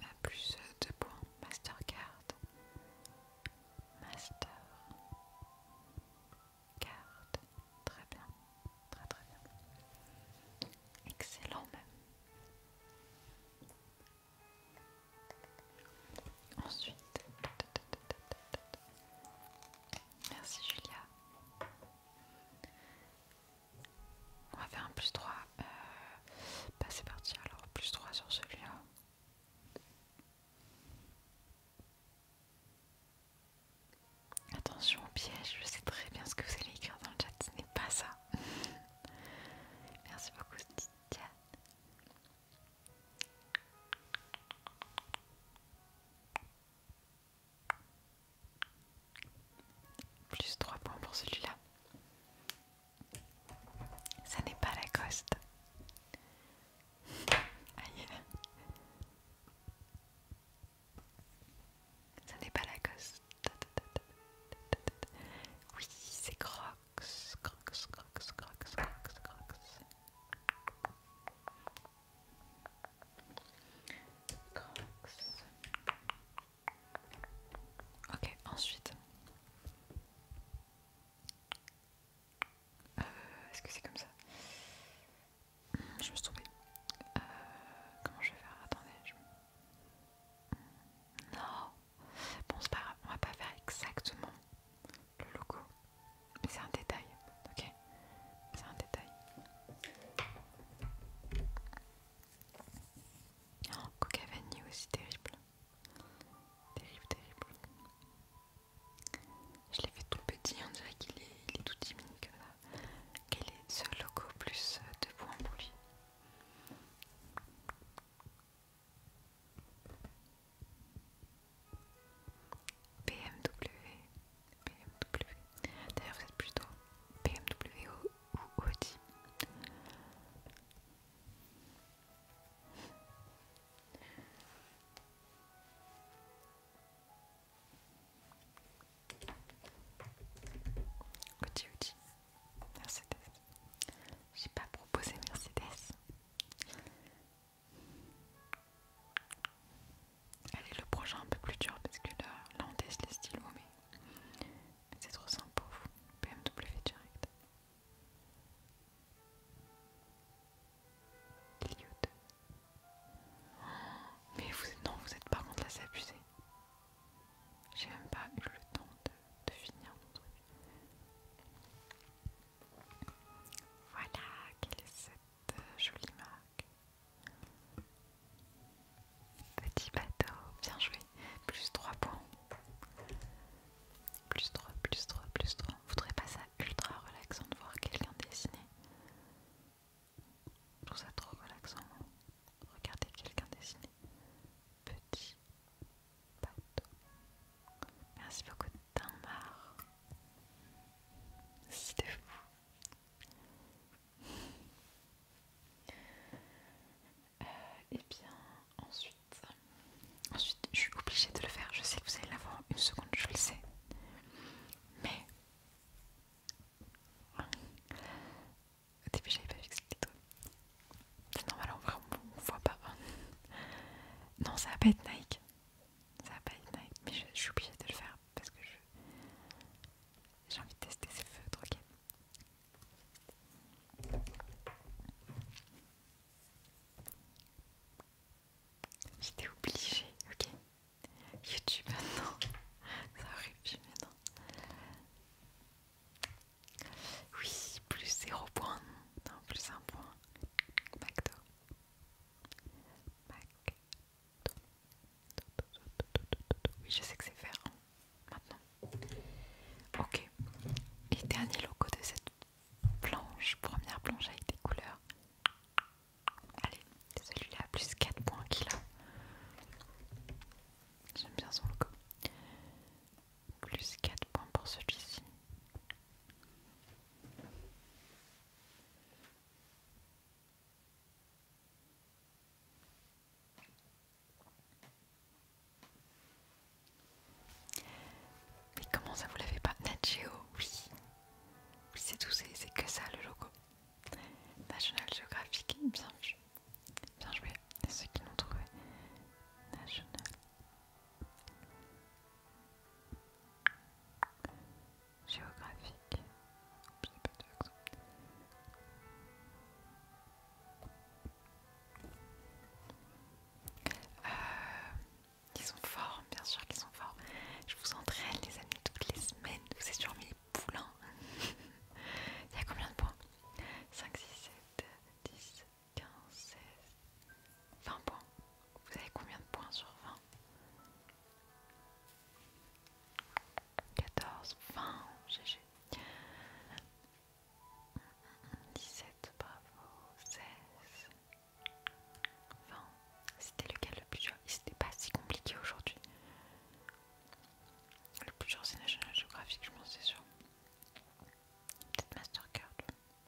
Euh, plus de points. Mastercard. Master carte. Très bien, très très bien. Excellent même. Ensuite, merci Julia. On va faire un plus 3. Euh, bah c'est parti alors, plus 3 sur celui-là. Attention au piège, je sais très bien ce que vous allez écrire dans le chat, ce n'est pas ça. Merci beaucoup, Titiane. Plus 3 points pour celui-là. Ça n'est pas la coste. Aïe. Ça n'est pas la gosse. Oui, c'est Crocs. Crocs, Crocs, Crocs, Crocs, Crocs. Crocs. Ok, ensuite. Euh, est-ce que c'est comme ça Je me suis trompée. Euh, comment je vais faire Attendez. Non Bon, c'est pas grave, on va pas faire exactement le logo. Mais c'est un détail, ok C'est un détail. Oh, Coca Vanille aussi, terrible. Terrible, terrible. Je l'ai fait tout petit, on dirait qu'il est, tout diminué comme ça. Quel est ce logo plus euh, de points pour lui BMW, D'ailleurs, vous êtes plutôt BMW ou Audi. Uti Mercedes. J'ai pas proposé Mercedes. Allez, le prochain un peu plus dur parce que là, on teste les stylos, mais, c'est trop sympa. BMW direct. Mais vous, non, vous êtes par contre là, abusé. J'ai même pas eu le temps de, finir Voilà, quelle est cette euh, jolie marque. Petit bateau, bien joué. Plus 3 points. Plus 3, plus 3, plus 3. Vous Vous trouvez pas ça ultra relaxant de voir quelqu'un dessiner Je trouve ça trop relaxant. Regarder quelqu'un dessiner. Petit Merci beaucoup Tamar, C'était fou. et euh, eh bien ensuite, ensuite je suis obligée de le faire. Je sais que vous allez l'avoir une seconde, je le sais. Mais au début, j'avais pas que c'était toi C'est normal, on voit, pas. Non, ça va pas être Nike. Ça va pas être Nike, mais je, suis obligée de le faire parce que j'ai envie de tester ces feutres, ok. J'étais obligée, ok YouTube maintenant, ça arrive maintenant. Oui, plus 0 point, non, plus 1 point. McDo. Mac. Oui, je sais que c'est faire maintenant. Ok. Et dernier logo de cette planche, première planche avec des couleurs. Allez, celui-là plus 4 points qu'il a. J'aime bien son logo. Plus 4 points pour celui-ci. Mais comment ça vous l'avez pas Nat oui, c'est tout, c'est que ça le logo. National Geographic, bien joué. Bien joué, ceux qui l'ont trouvé. National Géographique. pas de Euh, qui sont forts, bien sûr qu'ils sont forts. Je vous entraîne, les amis, toutes les semaines. Vous êtes sur mes poulains. Il y a combien de points 5, 6, 7, 10, 15, 16, 20 points. Vous avez combien de points sur 20 14, 20, GG. 17, bravo, 16, Enfin, c'était lequel le plus dur C'était pas si compliqué aujourd'hui. Le plus dur c'est National Geographic, je pense, c'est sûr. Peut-être Mastercard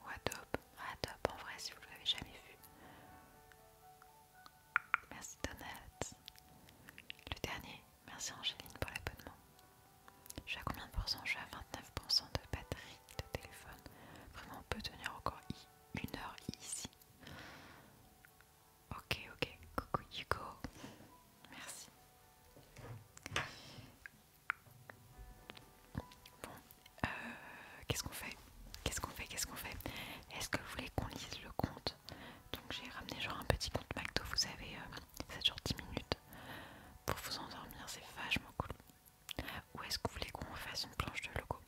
ou Adobe. Ah, Adobe, en vrai, si vous l'avez jamais vu. Merci Donat. Le dernier, merci Angéline pour l'abonnement. Je suis à combien de pourcents Je suis à 29% de batterie de téléphone. Vraiment, on peut tenir encore une heure ici. Ok, ok, coucou Hugo, merci. Bon, euh, qu'est-ce qu'on fait Qu'est-ce qu'on fait Qu'est-ce qu'on fait Est-ce que vous voulez qu'on lise le compte Donc j'ai ramené genre un petit compte McDo, vous avez 7 euh, jours 10 minutes pour vous endormir, c'est vachement cool. Ou est-ce que vous voulez qu'on fasse une planche de logo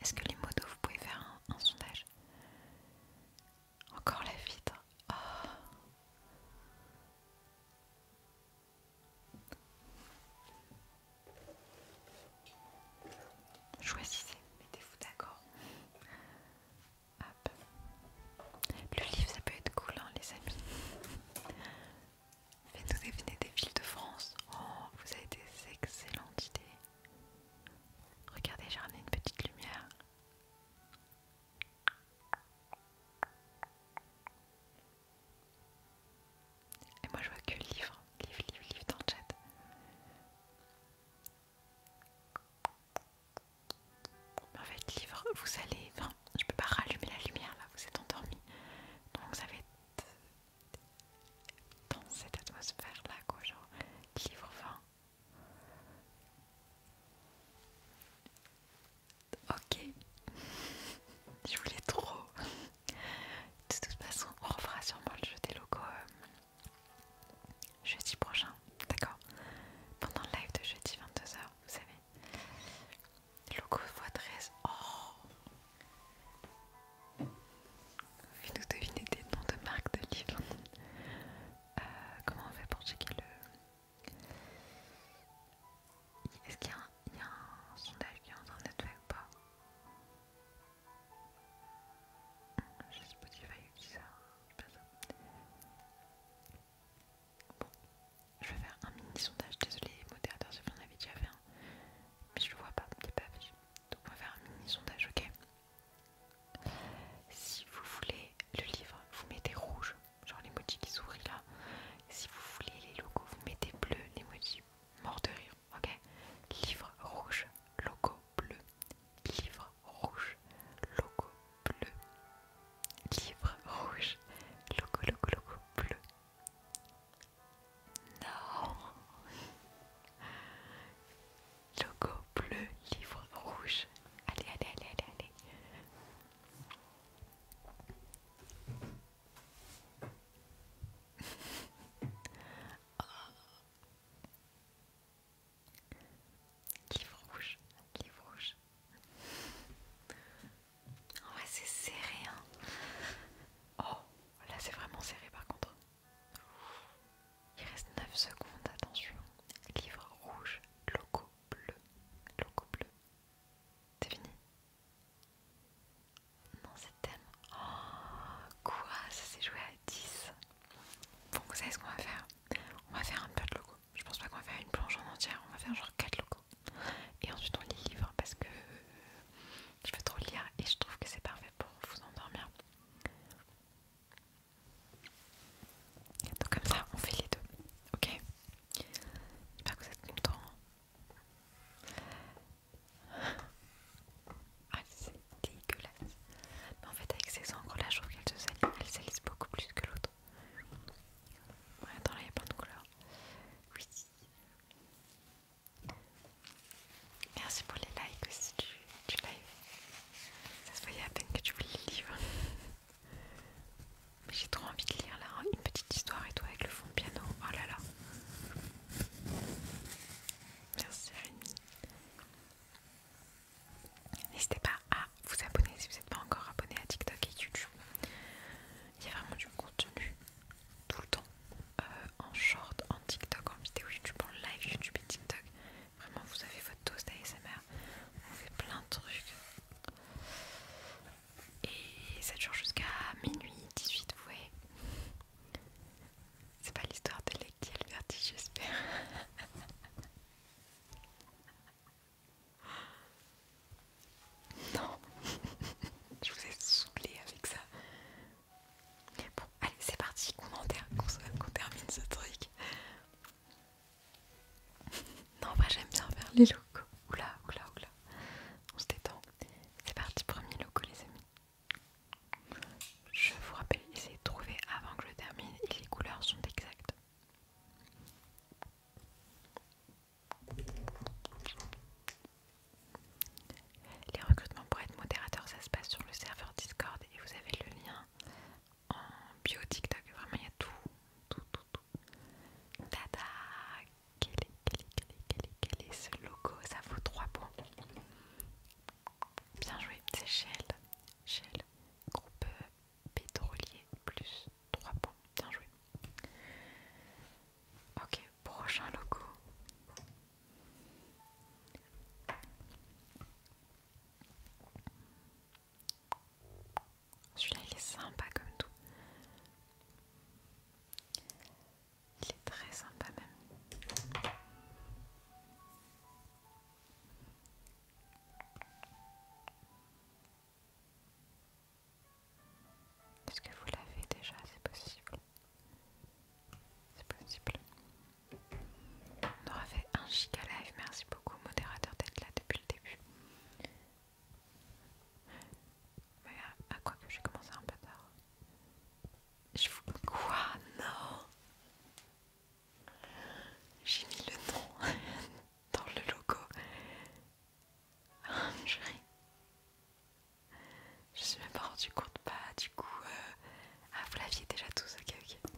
Est-ce que les motos vous pouvez faire un, sondage Encore la vitre oh. Choisissez, mettez-vous d'accord. Le livre, ça peut être cool, hein, les amis. Faites-nous deviner des villes de France. Oh, vous avez des excellentes idées. Regardez, j'ai ramené une petite lumière. Et moi, je vois que livre, livre, livre, livre dans le chat. Mais en fait, livre, vous allez. je peux pas rallumer la lumière là, vous êtes endormi. Donc, ça va être dans cette atmosphère là quoi qui livre fin ok je voulais trop de toute façon on refera sûrement le jeu des locaux euh, jeudi prochain d'accord pendant le live de jeudi 22h vous savez Loco fois 13 Oh Fais-nous deviner des noms de marques de livres. Euh, comment on fait pour checker le. Est-ce qu'il y, a un sondage qui est en train d'être fait ou pas Je sais pas si va y ça. ça. Bon, je vais faire un mini sondage. Désolée, modérateur, si vous en avez déjà fait un mais je le vois pas, il pas Donc on va faire un mini sondage, ok Si vous voulez le livre, vous mettez rouge, genre l'emoji qui sourit là. Si vous voulez les logos, vous mettez bleu, l'emoji mort de rire, ok Livre rouge, logo bleu, livre rouge, logo bleu, livre rouge, logo, logo, logo bleu. Non. Logo bleu, livre rouge. Allez, allez, allez, allez, allez. oh. Livre rouge, livre rouge. En ouais, c'est serré, hein. Oh, Là c'est vraiment serré par contre. Il reste 9 secondes, attention. Livre rouge, logo bleu. Logo bleu. C'est fini Non c'est thème. Oh, quoi Ça s'est joué à 10. Bon vous savez ce qu'on va faire On va faire un peu de logo. Je pense pas qu'on va faire une planche en entière, on va faire genre 4 logos. Et ensuite on lit livre parce que je veux trop lire et je trouve que c'est parfait pour vous endormir. Donc comme ça, on fait les deux. Ok J'espère que vous êtes content. Ah c'est dégueulasse. Mais en fait avec ces encres là, je trouve qu'elles se salissent. beaucoup plus que l'autre. Ouais, attends là, il y a pas de couleur Oui. Merci pour les likes aussi tu live. Ça se voyait à peine que tu voulais le Mais j'ai trop envie de lire là, hein, une petite histoire et toi avec le fond piano. Oh là là. Merci Rémi. N'hésitez pas à vous abonner si vous n'êtes pas encore abonné à TikTok et YouTube. Il y a vraiment du contenu tout le temps. Euh, en short, en TikTok, en vidéo YouTube, en live YouTube et TikTok. Vraiment, vous avez votre dose d'ASMR. On fait plein de trucs. Et ça dure jusqu'à minuit 18, vous C'est pas l'histoire de l'équipe verti j'espère. Non, je vous ai saoulé avec ça. Bon, allez, c'est parti, qu'on termine ce truc. Non, moi j'aime bien faire les locaux Oula, oula, oula. On se détend. C'est parti, premier logo, les amis. Je vous rappelle, essayez de trouver avant que je termine et les couleurs sont exactes. Les recrutements pour être modérateur, ça se passe sur le serveur Discord et vous avez le lien en bio TikTok. Vraiment, il y a tout, tout, tout, tout. Tada quel est, quel est, quel est, quel est ce logo Ça vaut 3 points. Bien joué, c'est Shell. Shell, groupe pétrolier, plus 3 points. Bien joué. Ok, prochain logo. Celui-là, il est sympa comme tout. Il est très sympa même. Est-ce que vous l'avez déjà C'est possible. C'est possible. On aura fait un giga live. Merci beaucoup, modérateur, d'être là depuis le début. Mais à, quoi que j'ai commencé un peu tard. Je vous. Quoi Non J'ai mis le nom dans le logo. Je je me suis même pas rendu compte, bah du coup... Euh, ah vous l'aviez déjà tous, ok ok.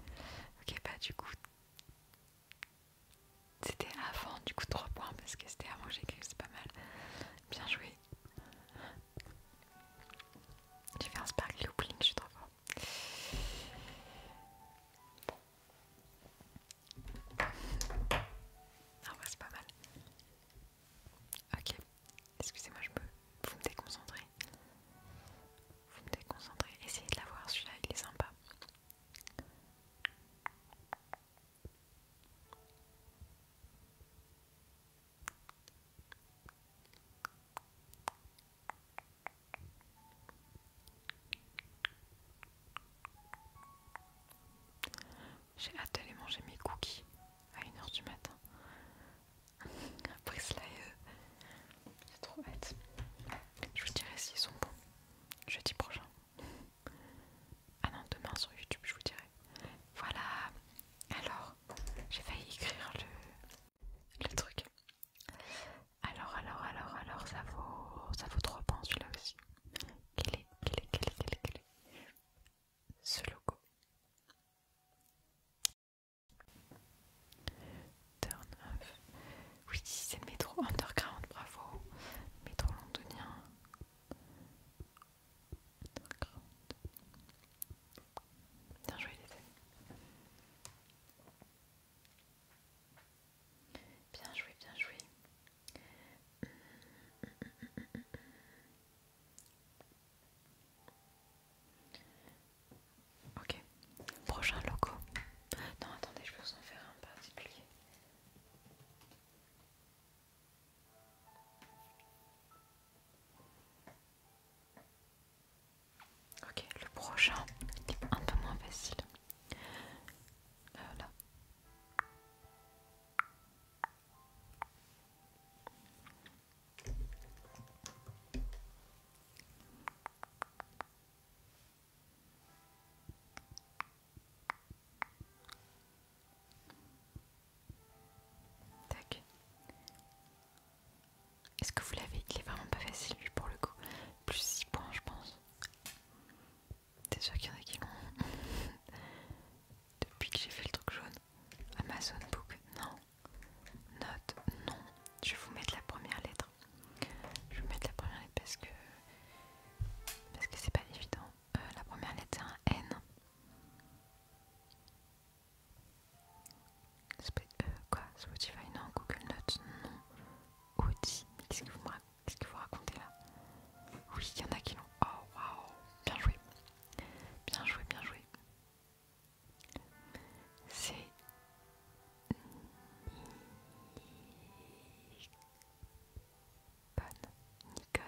Ok bah du coup... C'était avant du coup 3 points parce que c'était avant que j'écris, c'est pas mal. Bien joué. J'ai fait un sparkly opening, je suis trop bon Ah ouais bah, c'est pas mal. Ok, excusez-moi, je peux. Vous me déconcentrez. Vous me déconcentrez. Essayez de voir, celui-là, il est sympa. J'ai hâte d'aller manger mes cookies à 1h du matin. Après cela, euh, C'est trop bête Je vous dirai s'ils sont bons jeudi prochain. Ah non, demain sur YouTube, je vous dirai. Voilà. Alors, j'ai failli écrire le, le truc. Alors, alors, alors, alors, ça vaut, ça vaut 3 points celui-là aussi. Quel est, quel est, quel est, est, quel est ce logo Turn off. Oui, c'est le métro underground, bravo. Métro londonien. Bien joué les amis. Bien joué, bien joué. Ok, prochain logo. Non, attendez, je peux en faire un particulier. Ok, le prochain est un peu moins facile. Voilà euh, Tac. Est-ce que vous l'avez Il est vraiment pas facile lui pour le coup. Plus 6 points je pense. T'es sûr qu'il y en a qui l'ont Depuis que j'ai fait le truc jaune. Amazon Book, non. Note non. Je vais vous mettre la première lettre. Je vais vous mettre la première lettre parce que parce que c'est pas évident. Euh, la première lettre c'est un N. Euh, quoi Spotify non. Google Notes non. qu'est-ce que vous racontez Qu'est-ce là Oui, il y en a qui l'ont. Oh waouh Bien joué Bien joué, bien joué c'est Nikon,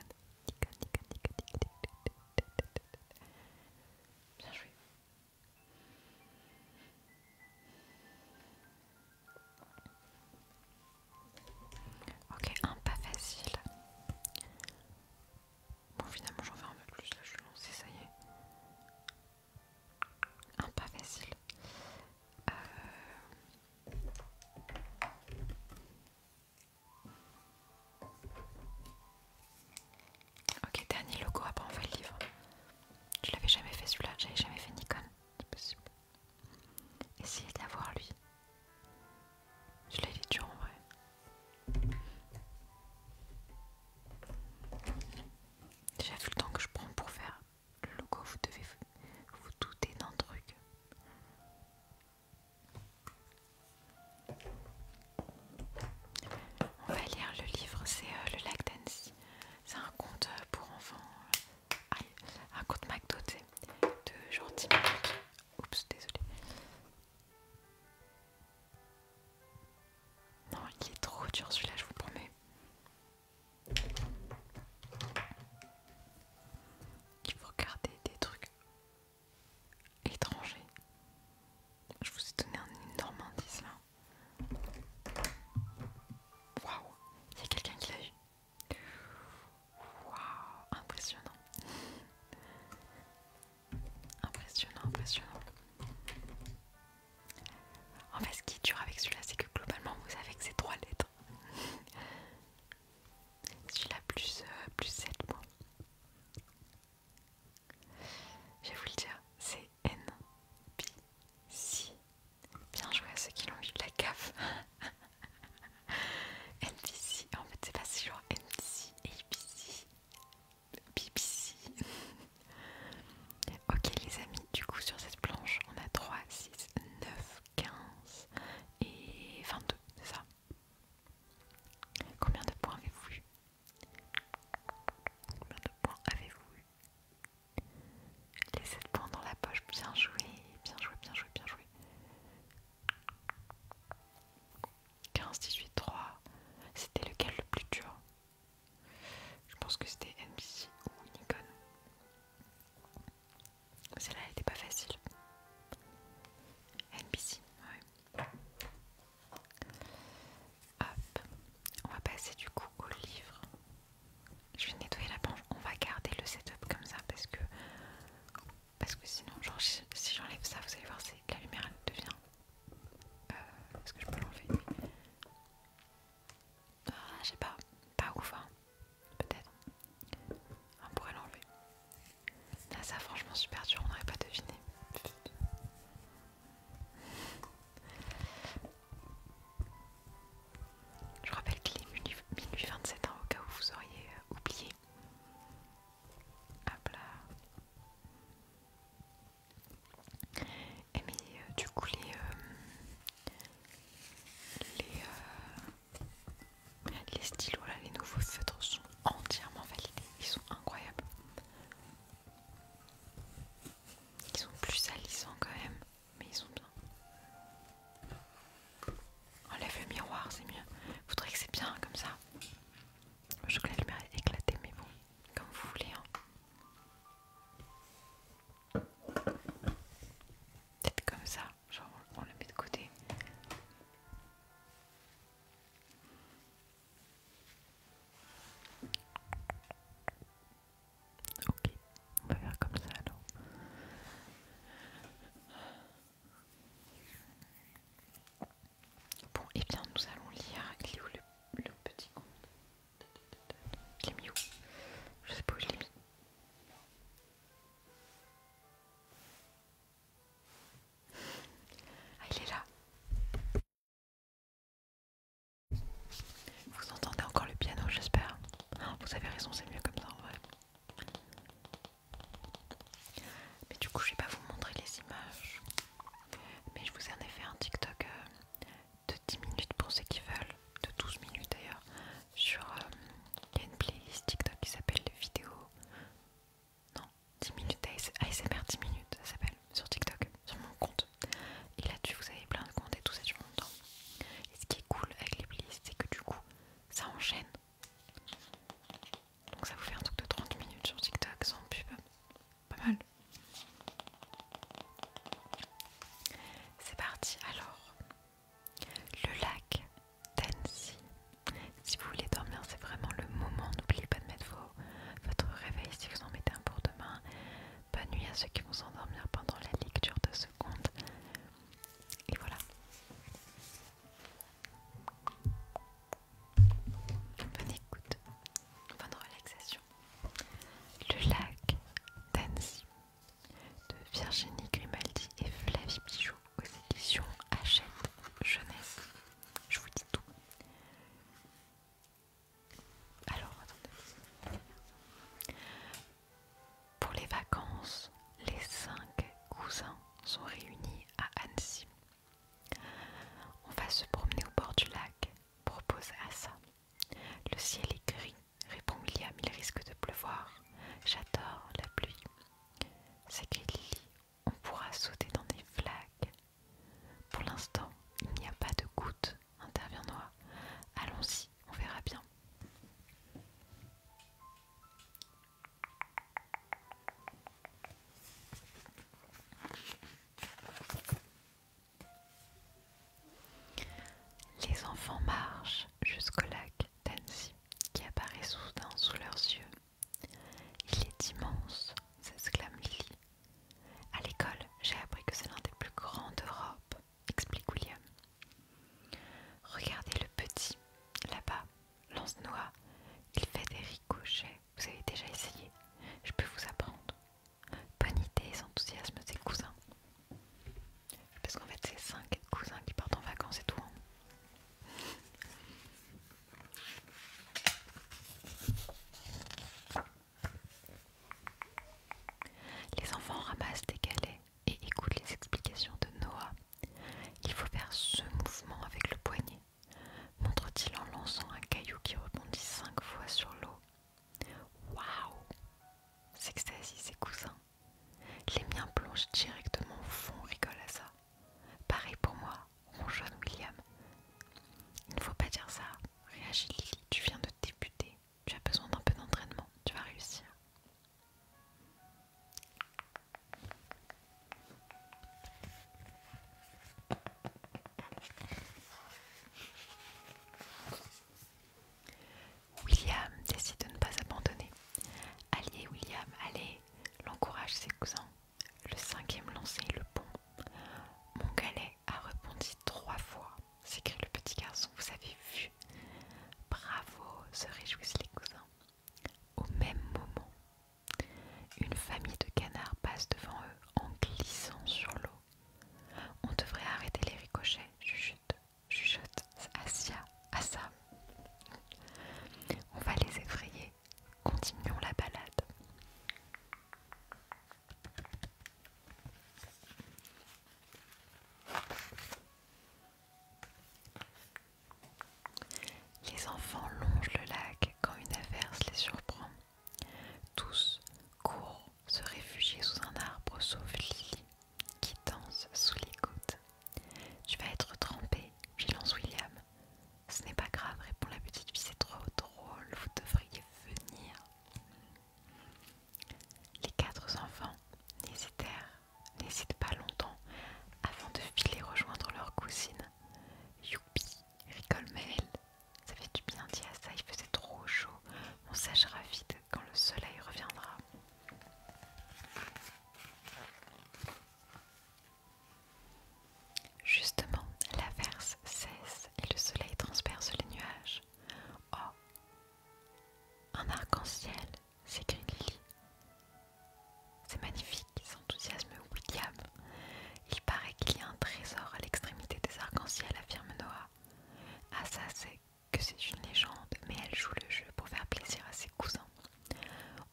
Ok, un pas facile. Bon, finalement, j'en fais un peu plus. Là, je suis lancée, ça y est. Un pas facile. Euh. Ok, dernier logo, après ah on fait le livre. Je l'avais jamais fait celui-là, j'avais jamais fait Nikon. C'est possible. Essayez de l'avoir lui. Je l'ai dit dur en vrai. Déjà vu le temps que je prends pour faire le logo, vous devez vous, douter d'un truc. On va lire le livre, c'est euh, le lac d'Annecy. C'est un conte euh, pour enfants. Euh, aïe, un conte McDo, de gentil. Oups, désolé. Non, il est trop dur celui-là, je vous promets. Il faut garder des trucs étrangers. Je vous ai donné un énorme indice là. Waouh, il y a quelqu'un qui l'a eu. Waouh, impressionnant. Impressionnant, impressionnant. En fait, ce qui est dur avec celui-là, c'est que globalement, vous savez que c'est trois lettres. celui-là, plus, euh, plus 7 mots. Je vais vous le dire, c'est N, B, C. Bien joué à ceux qui l'ont eu de la B C. en fait c'est pas si genre B, C. BBC. ok les amis, du coup sur cette planche on a 3, 6, 9, 15 et 22, c'est ça Combien de points avez-vous eu Combien de points avez-vous eu Les 7 points dans la poche, bien joué, bien joué, bien joué, bien joué. 15, 18, 3. C'était lequel le plus dur Je pense que c'était NBC ou Nikon. Celle-là, elle était pas facile. NBC, ouais. Hop. On va passer du coup au livre. Je vais nettoyer la planche. On va garder le setup comme ça parce que parce que sinon, si j'enlève ça, vous allez voir, la lumière elle devient euh, est-ce que je peux l'enlever ah, je sais pas. Pas ouf, hein. Peut-être. On pourrait l'enlever. Là, ça, franchement, super dur. On n'aurait pas deviné. Je rappelle qu'il est 1827 ans hein, au cas où vous auriez euh, oublié. Hop là. Et mais euh, du coup les, euh, euh, les, stylos là, les nouveaux feutres sont entièrement validés, ils sont incroyables. Ils sont plus salissants quand même, mais ils sont bien. Enlève le miroir, c'est mieux. Faudrait que c'est bien comme ça. Je crois que la lumière est éclatée, mais bon, comme vous voulez. Hein. peut comme ça, genre on le met de côté. Ok, on va faire comme ça alors. Bon, et eh bien nous allons lire. Il le, petit conte Il est où Je sais pas où je l'ai mis. Ah, il est là. Vous entendez encore le piano, j'espère. Vous avez raison, c'est mieux comme ça en vrai. Mais du coup, je vais pas vous montrer les images. Mais je vous ai en effet fait un TikTok euh, de 10 minutes pour ceux qui veulent, de 12 minutes d'ailleurs, sur euh, il y a une playlist TikTok qui s'appelle vidéo. Non, 10 minutes ASMR 10 minutes, ça s'appelle, sur TikTok, sur mon compte. Et là-dessus, vous avez plein de comptes et tout ça sur mon Et ce qui est cool avec les playlists, c'est que du coup, ça enchaîne. Donc ça vous fait un truc de 30 minutes sur TikTok sans pub. Pas mal. C'est parti alors. Le lac d'Annecy. Si vous voulez dormir, c'est vraiment le moment. N'oubliez pas de mettre vos, votre réveil si vous en mettez un pour demain. Bonne nuit à ceux qui vont s'endormir pendant la lecture de ce conte. Et voilà. Bonne écoute, bonne relaxation. Le lac d'Annecy de Virginie Grimaldi et Flavie Pichot aux éditions Hachette Jeunesse. Je vous dis tout. Alors, attendez. Pour les vacances, les cinq cousins sont réunis à Annecy. On va se promener au bord du lac, propose Asa. Le ciel est gris, répond William, il risque de pleuvoir. J'adore la pluie. S'écrit Lily, on pourra sauter dans des flaques. Pour l'instant, il n'y a pas de gouttes, intervient Noah. Allons-y, on verra bien. Les enfants marchent jusqu'au lac d'Annecy qui apparaît soudain sous leurs yeux. Il est immense, s'exclame Lily. À l'école, j'ai appris que c'est l'un des plus grands d'Europe, explique William. Regardez le petit, là-bas, lance-noix. Il fait des ricochets vous avez déjà essayé Je peux vous apprendre. Bonne idée et enthousiasme ses cousins. Parce qu'en fait, c'est cinq cousins qui partent en vacances et tout. Hein. Les enfants ramassent des galets et écoutent les explications de Noah. Il faut faire ce mouvement avec le poignet montre-t-il en lançant un caillou qui rebondit cinq fois sur l'eau. Waouh S'extasie ses cousins. Les miens plongent directement au fond, rigole à ça. Pareil pour moi, mon jeune William. Il ne faut pas dire ça, réagit Lily, tu viens de débuter. Tu as besoin d'un peu d'entraînement, tu vas réussir. William décide de ne pas abandonner. Allez William, allez, l'encourage ses cousins. Le cinquième lançait le pont. Mon galet a répondu trois fois, s'écrie le petit garçon, vous avez vu. Bravo, se réjouissent les cousins. Au même moment, une famille de canards passe devant eux en glissant sur l'eau. On devrait arrêter les ricochets, chuchote, chuchote, Asia, Assa. On va les effrayer. Continuons la balade. Les enfants longent le lac quand une averse les surprend. Tous courent se réfugier sous un arbre, sauf Lily, qui danse sous les côtes. Tu vas être trempée, lance William. Ce n'est pas grave, répond la petite fille, c'est trop drôle, vous devriez venir. Les quatre enfants n'hésitèrent, n'hésitent pas longtemps avant de filer rejoindre leur cousine. Youpi, rigole ça fait du bien dit à ça, il faisait trop chaud. On sèchera vite quand le soleil reviendra. Justement, l'averse cesse et le soleil transperce les nuages. Oh Un arc-en-ciel s'écrit Lily. C'est magnifique, s'enthousiasme William. Il paraît qu'il y a un trésor à l'extrémité des arc en ciel affirme Noah. Ah ça c'est que c'est une légende, mais elle joue le jeu pour faire plaisir à ses cousins.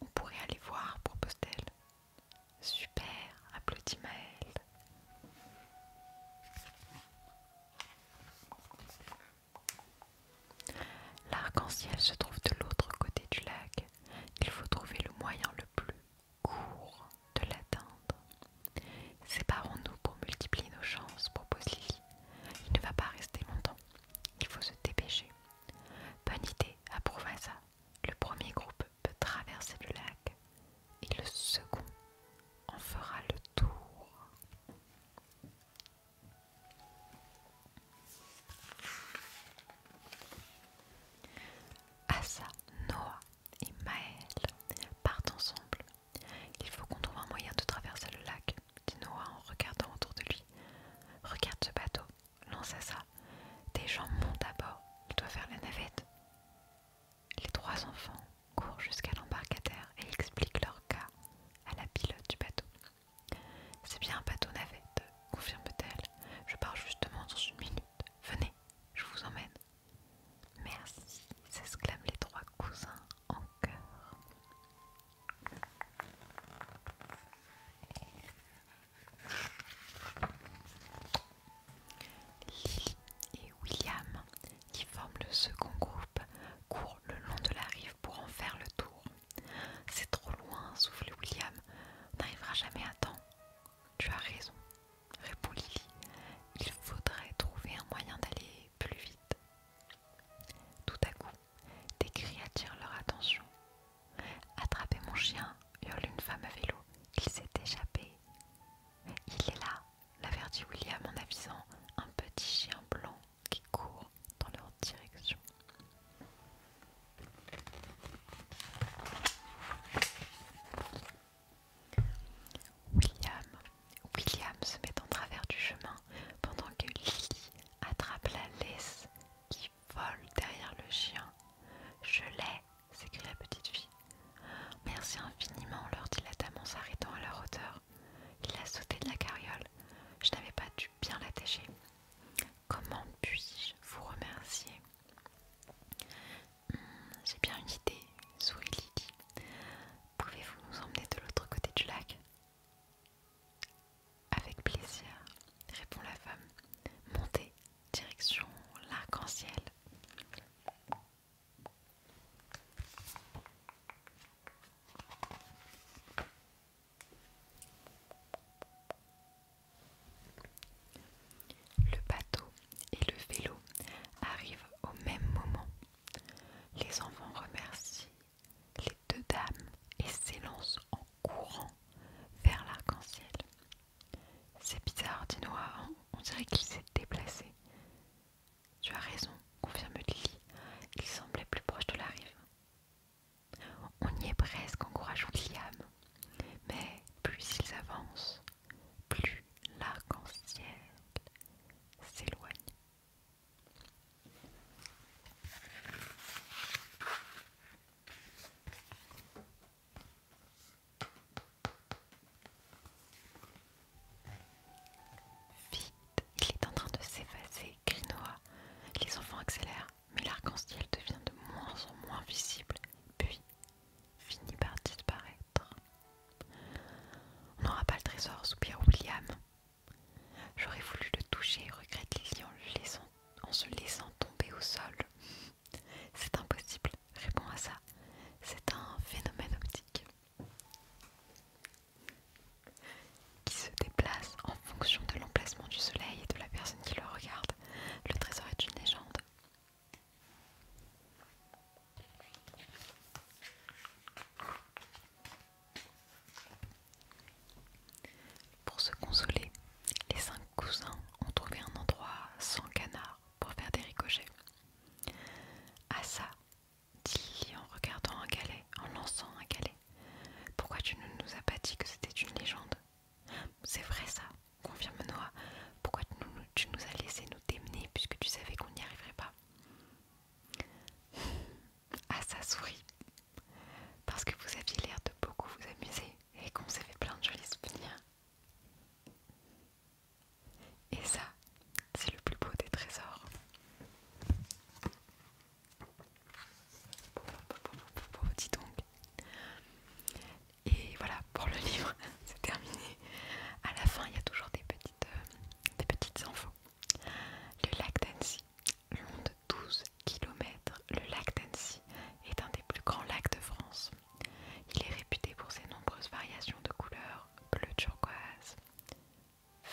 On pourrait aller voir, propose-t-elle. Super, applaudit Maëlle. L'arc-en-ciel se trouve de l'autre côté du lac. Il faut trouver le moyen le plus Cours de l'atteindre. Séparons-nous pour multiplier nos chances, propose Lily. Il ne va pas rester longtemps. Il faut se dépêcher. Bonne idée, approuva ça. Le premier groupe peut traverser le lac et le second en fera le tour. Asa, Noah et Maël partent ensemble. Il faut qu'on trouve un moyen de traverser le lac, dit Noah en regardant autour de lui. Regarde ce bateau, lance à ça. Des gens montent à bord, il doit faire la navette. Les trois enfants courent jusqu'à l'embarcadère et expliquent leur cas à la pilote du bateau. C'est bien un bateau navette, confirme-t-elle. Je pars justement dans une minute. Venez, je vous emmène. Merci, s'exclament les trois cousins en chœur. Lily et William, qui forment le second groupe, courent le long de la rive pour en faire le tour. C'est trop loin, souffle William. On n'arrivera jamais à temps. Tu as raison, répond euh, Lily. Il faudrait trouver un moyen d'aller plus vite. Tout à coup, des cris attirent leur attention. Attrapez mon chien, hurle une femme à vélo. Il s'est échappé. Il est là, l'avertit William en avisant un petit chien blanc qui court dans leur direction. William, William se met en travers du chemin pendant que Lily attrape la laisse qui vole derrière le chien. Je l'ai, s'écrie la petite fille. Merci infiniment, leur dit la dame en s'arrêtant à leur hauteur. Il a sauté de la carriole. Je n'avais pas dû bien l'attacher. Comment puis-je vous remercier Hmm, j'ai bien une idée, sourit Pouvez-vous nous emmener de l'autre côté du lac Avec plaisir, répond la femme. Montez, direction l'arc-en-ciel. Le bateau et le vélo arrive au même moment. Les enfants remercient les deux dames et s'élancent en courant vers l'arc-en-ciel. C'est bizarre, dit Noah, hein, on dirait qu'il s'est déplacé. Tu as raison, confirme Lily, il semblait plus proche de la rive. On y est presque, encourage Liam. Mais plus ils avancent, plus l'arc-en-ciel s'éloigne. Vite, il est en train de s'effacer, crie Les enfants accélèrent, mais l'arc-en-ciel devient de moins en moins visible, puis finit par disparaître. On n'aura pas le trésor, soupire William. J'aurais voulu le toucher, regrette Lily en, se laissant tomber au sol. C'est impossible, réponds à ça. C'est un phénomène optique qui se déplace en fonction de l'emplacement du soleil et de la personne qui le regarde. Le trésor est une légende. Pour se consoler, les cinq cousins ont trouvé un endroit sans canard pour faire des ricochets. Ah ça, dit en regardant un galet, en lançant un galet. Pourquoi tu ne nous as pas dit que c'était une légende C'est vrai ça, confirme Noah. Hein, pourquoi tu nous, as laissé nous démener puisque tu savais qu'on n'y arriverait pas. À sa souris. Parce que vous aviez l'air de beaucoup vous amuser et qu'on s'est fait plein de jolis souvenirs. Et ça, c'est le plus beau des trésors. Dis donc, et voilà pour le livre, c'est terminé. À la fin, il y a toujours des petites, euh, des petites infos. Le lac d'Annecy, long de 12 km, le lac d'Annecy est un des plus grands lacs de France. Il est réputé pour ses nombreuses variations de couleurs bleu turquoise,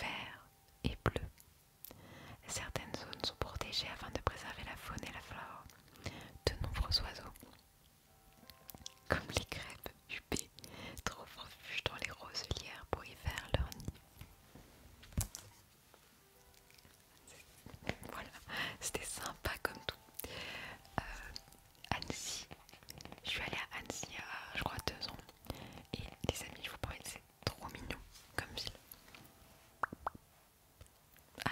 vert et bleu. Certaines zones sont protégées afin de préserver la faune et la flore. De nombreux oiseaux, comme les crêpes huppées trop refuge dans les roselières pour y faire leur nid. Voilà, c'était sympa comme tout. Euh, Annecy, je suis allée à Annecy à je crois deux ans. Et les amis, je vous que c'est trop mignon comme ville.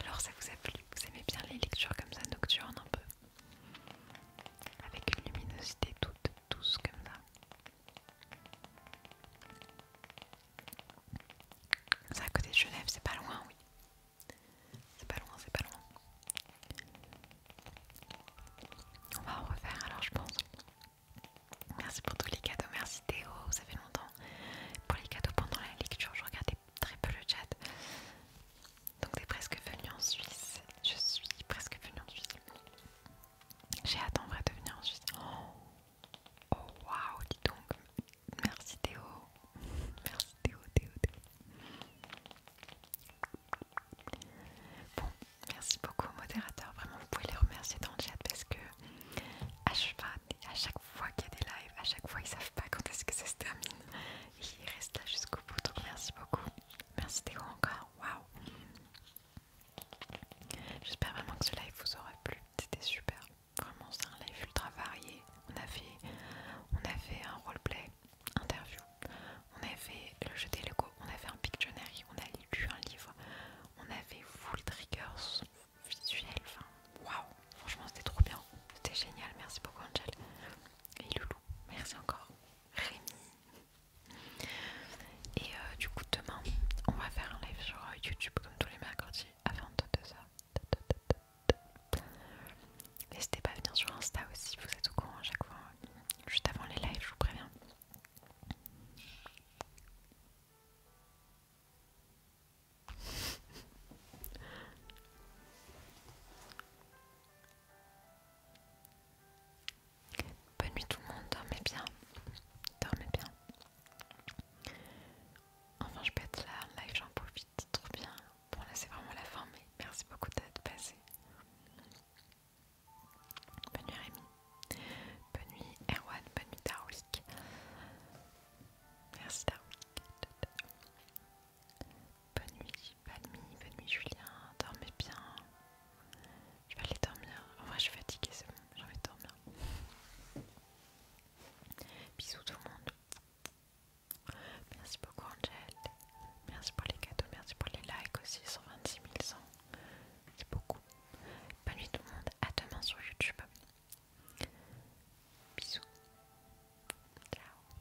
Alors ça vous a plu Vous aimez bien les lectures comme ça nocturnes un peu avec une luminosité toute douce comme ça. C'est à côté de Genève, c'est pas loin, oui. C'est pas loin, c'est pas loin. On va en refaire alors, je pense. Merci pour tous les cadeaux, merci Théo, ça fait longtemps. Pour les cadeaux pendant la lecture, je regardais très peu le chat. Donc t'es presque venu en Suisse. Je suis presque venue en Suisse. J'ai hâte en vrai de venir en Suisse. Oh, waouh, dis donc. Merci Théo. Merci Théo, Théo, Théo. Bon, merci beaucoup aux modérateurs. Vraiment, vous pouvez les remercier dans le chat parce que à chaque fois, fois qu'il y a des lives, à chaque fois ils savent pas quand est-ce que ça se termine il reste là jusqu'au bout donc merci beaucoup merci Théo encore waouh j'espère vraiment que ce live vous aura plu c'était super vraiment c'est un live ultra varié on a fait on a un roleplay interview on a fait le jeu des Lego on a fait un Pictionary on a lu un livre on avait full triggers visuel. enfin waouh franchement c'était trop bien c'était génial merci beaucoup Angel et Loulou merci encore Rémi. Et euh, du coup, demain, on va faire un live sur euh, YouTube comme tous les mercredis avant de ça N'hésitez pas à venir sur Insta aussi, vous êtes au courant à chaque fois. Euh, juste avant les lives, je vous préviens. Bonne nuit tout le monde, dormez bien. Dormez bien. Enfin, je peux être là live, j'en profite trop bien. Bon, là c'est vraiment la fin, mais merci beaucoup d'être passé. Bonne nuit Rémi. Bonne nuit Erwan, bonne nuit Daroulique Merci ciao Bonne nuit, bonne nuit, bonne nuit Julien, dormez bien. Je vais aller dormir. En vrai, je suis fatiguée, c'est bon, j'ai envie dormir. Bisous tout le monde. Merci beaucoup Angel. Merci pour les cadeaux, merci pour les likes aussi, 126 100. C'est beaucoup. Bonne nuit tout le monde, à demain sur YouTube. Bisous. Ciao.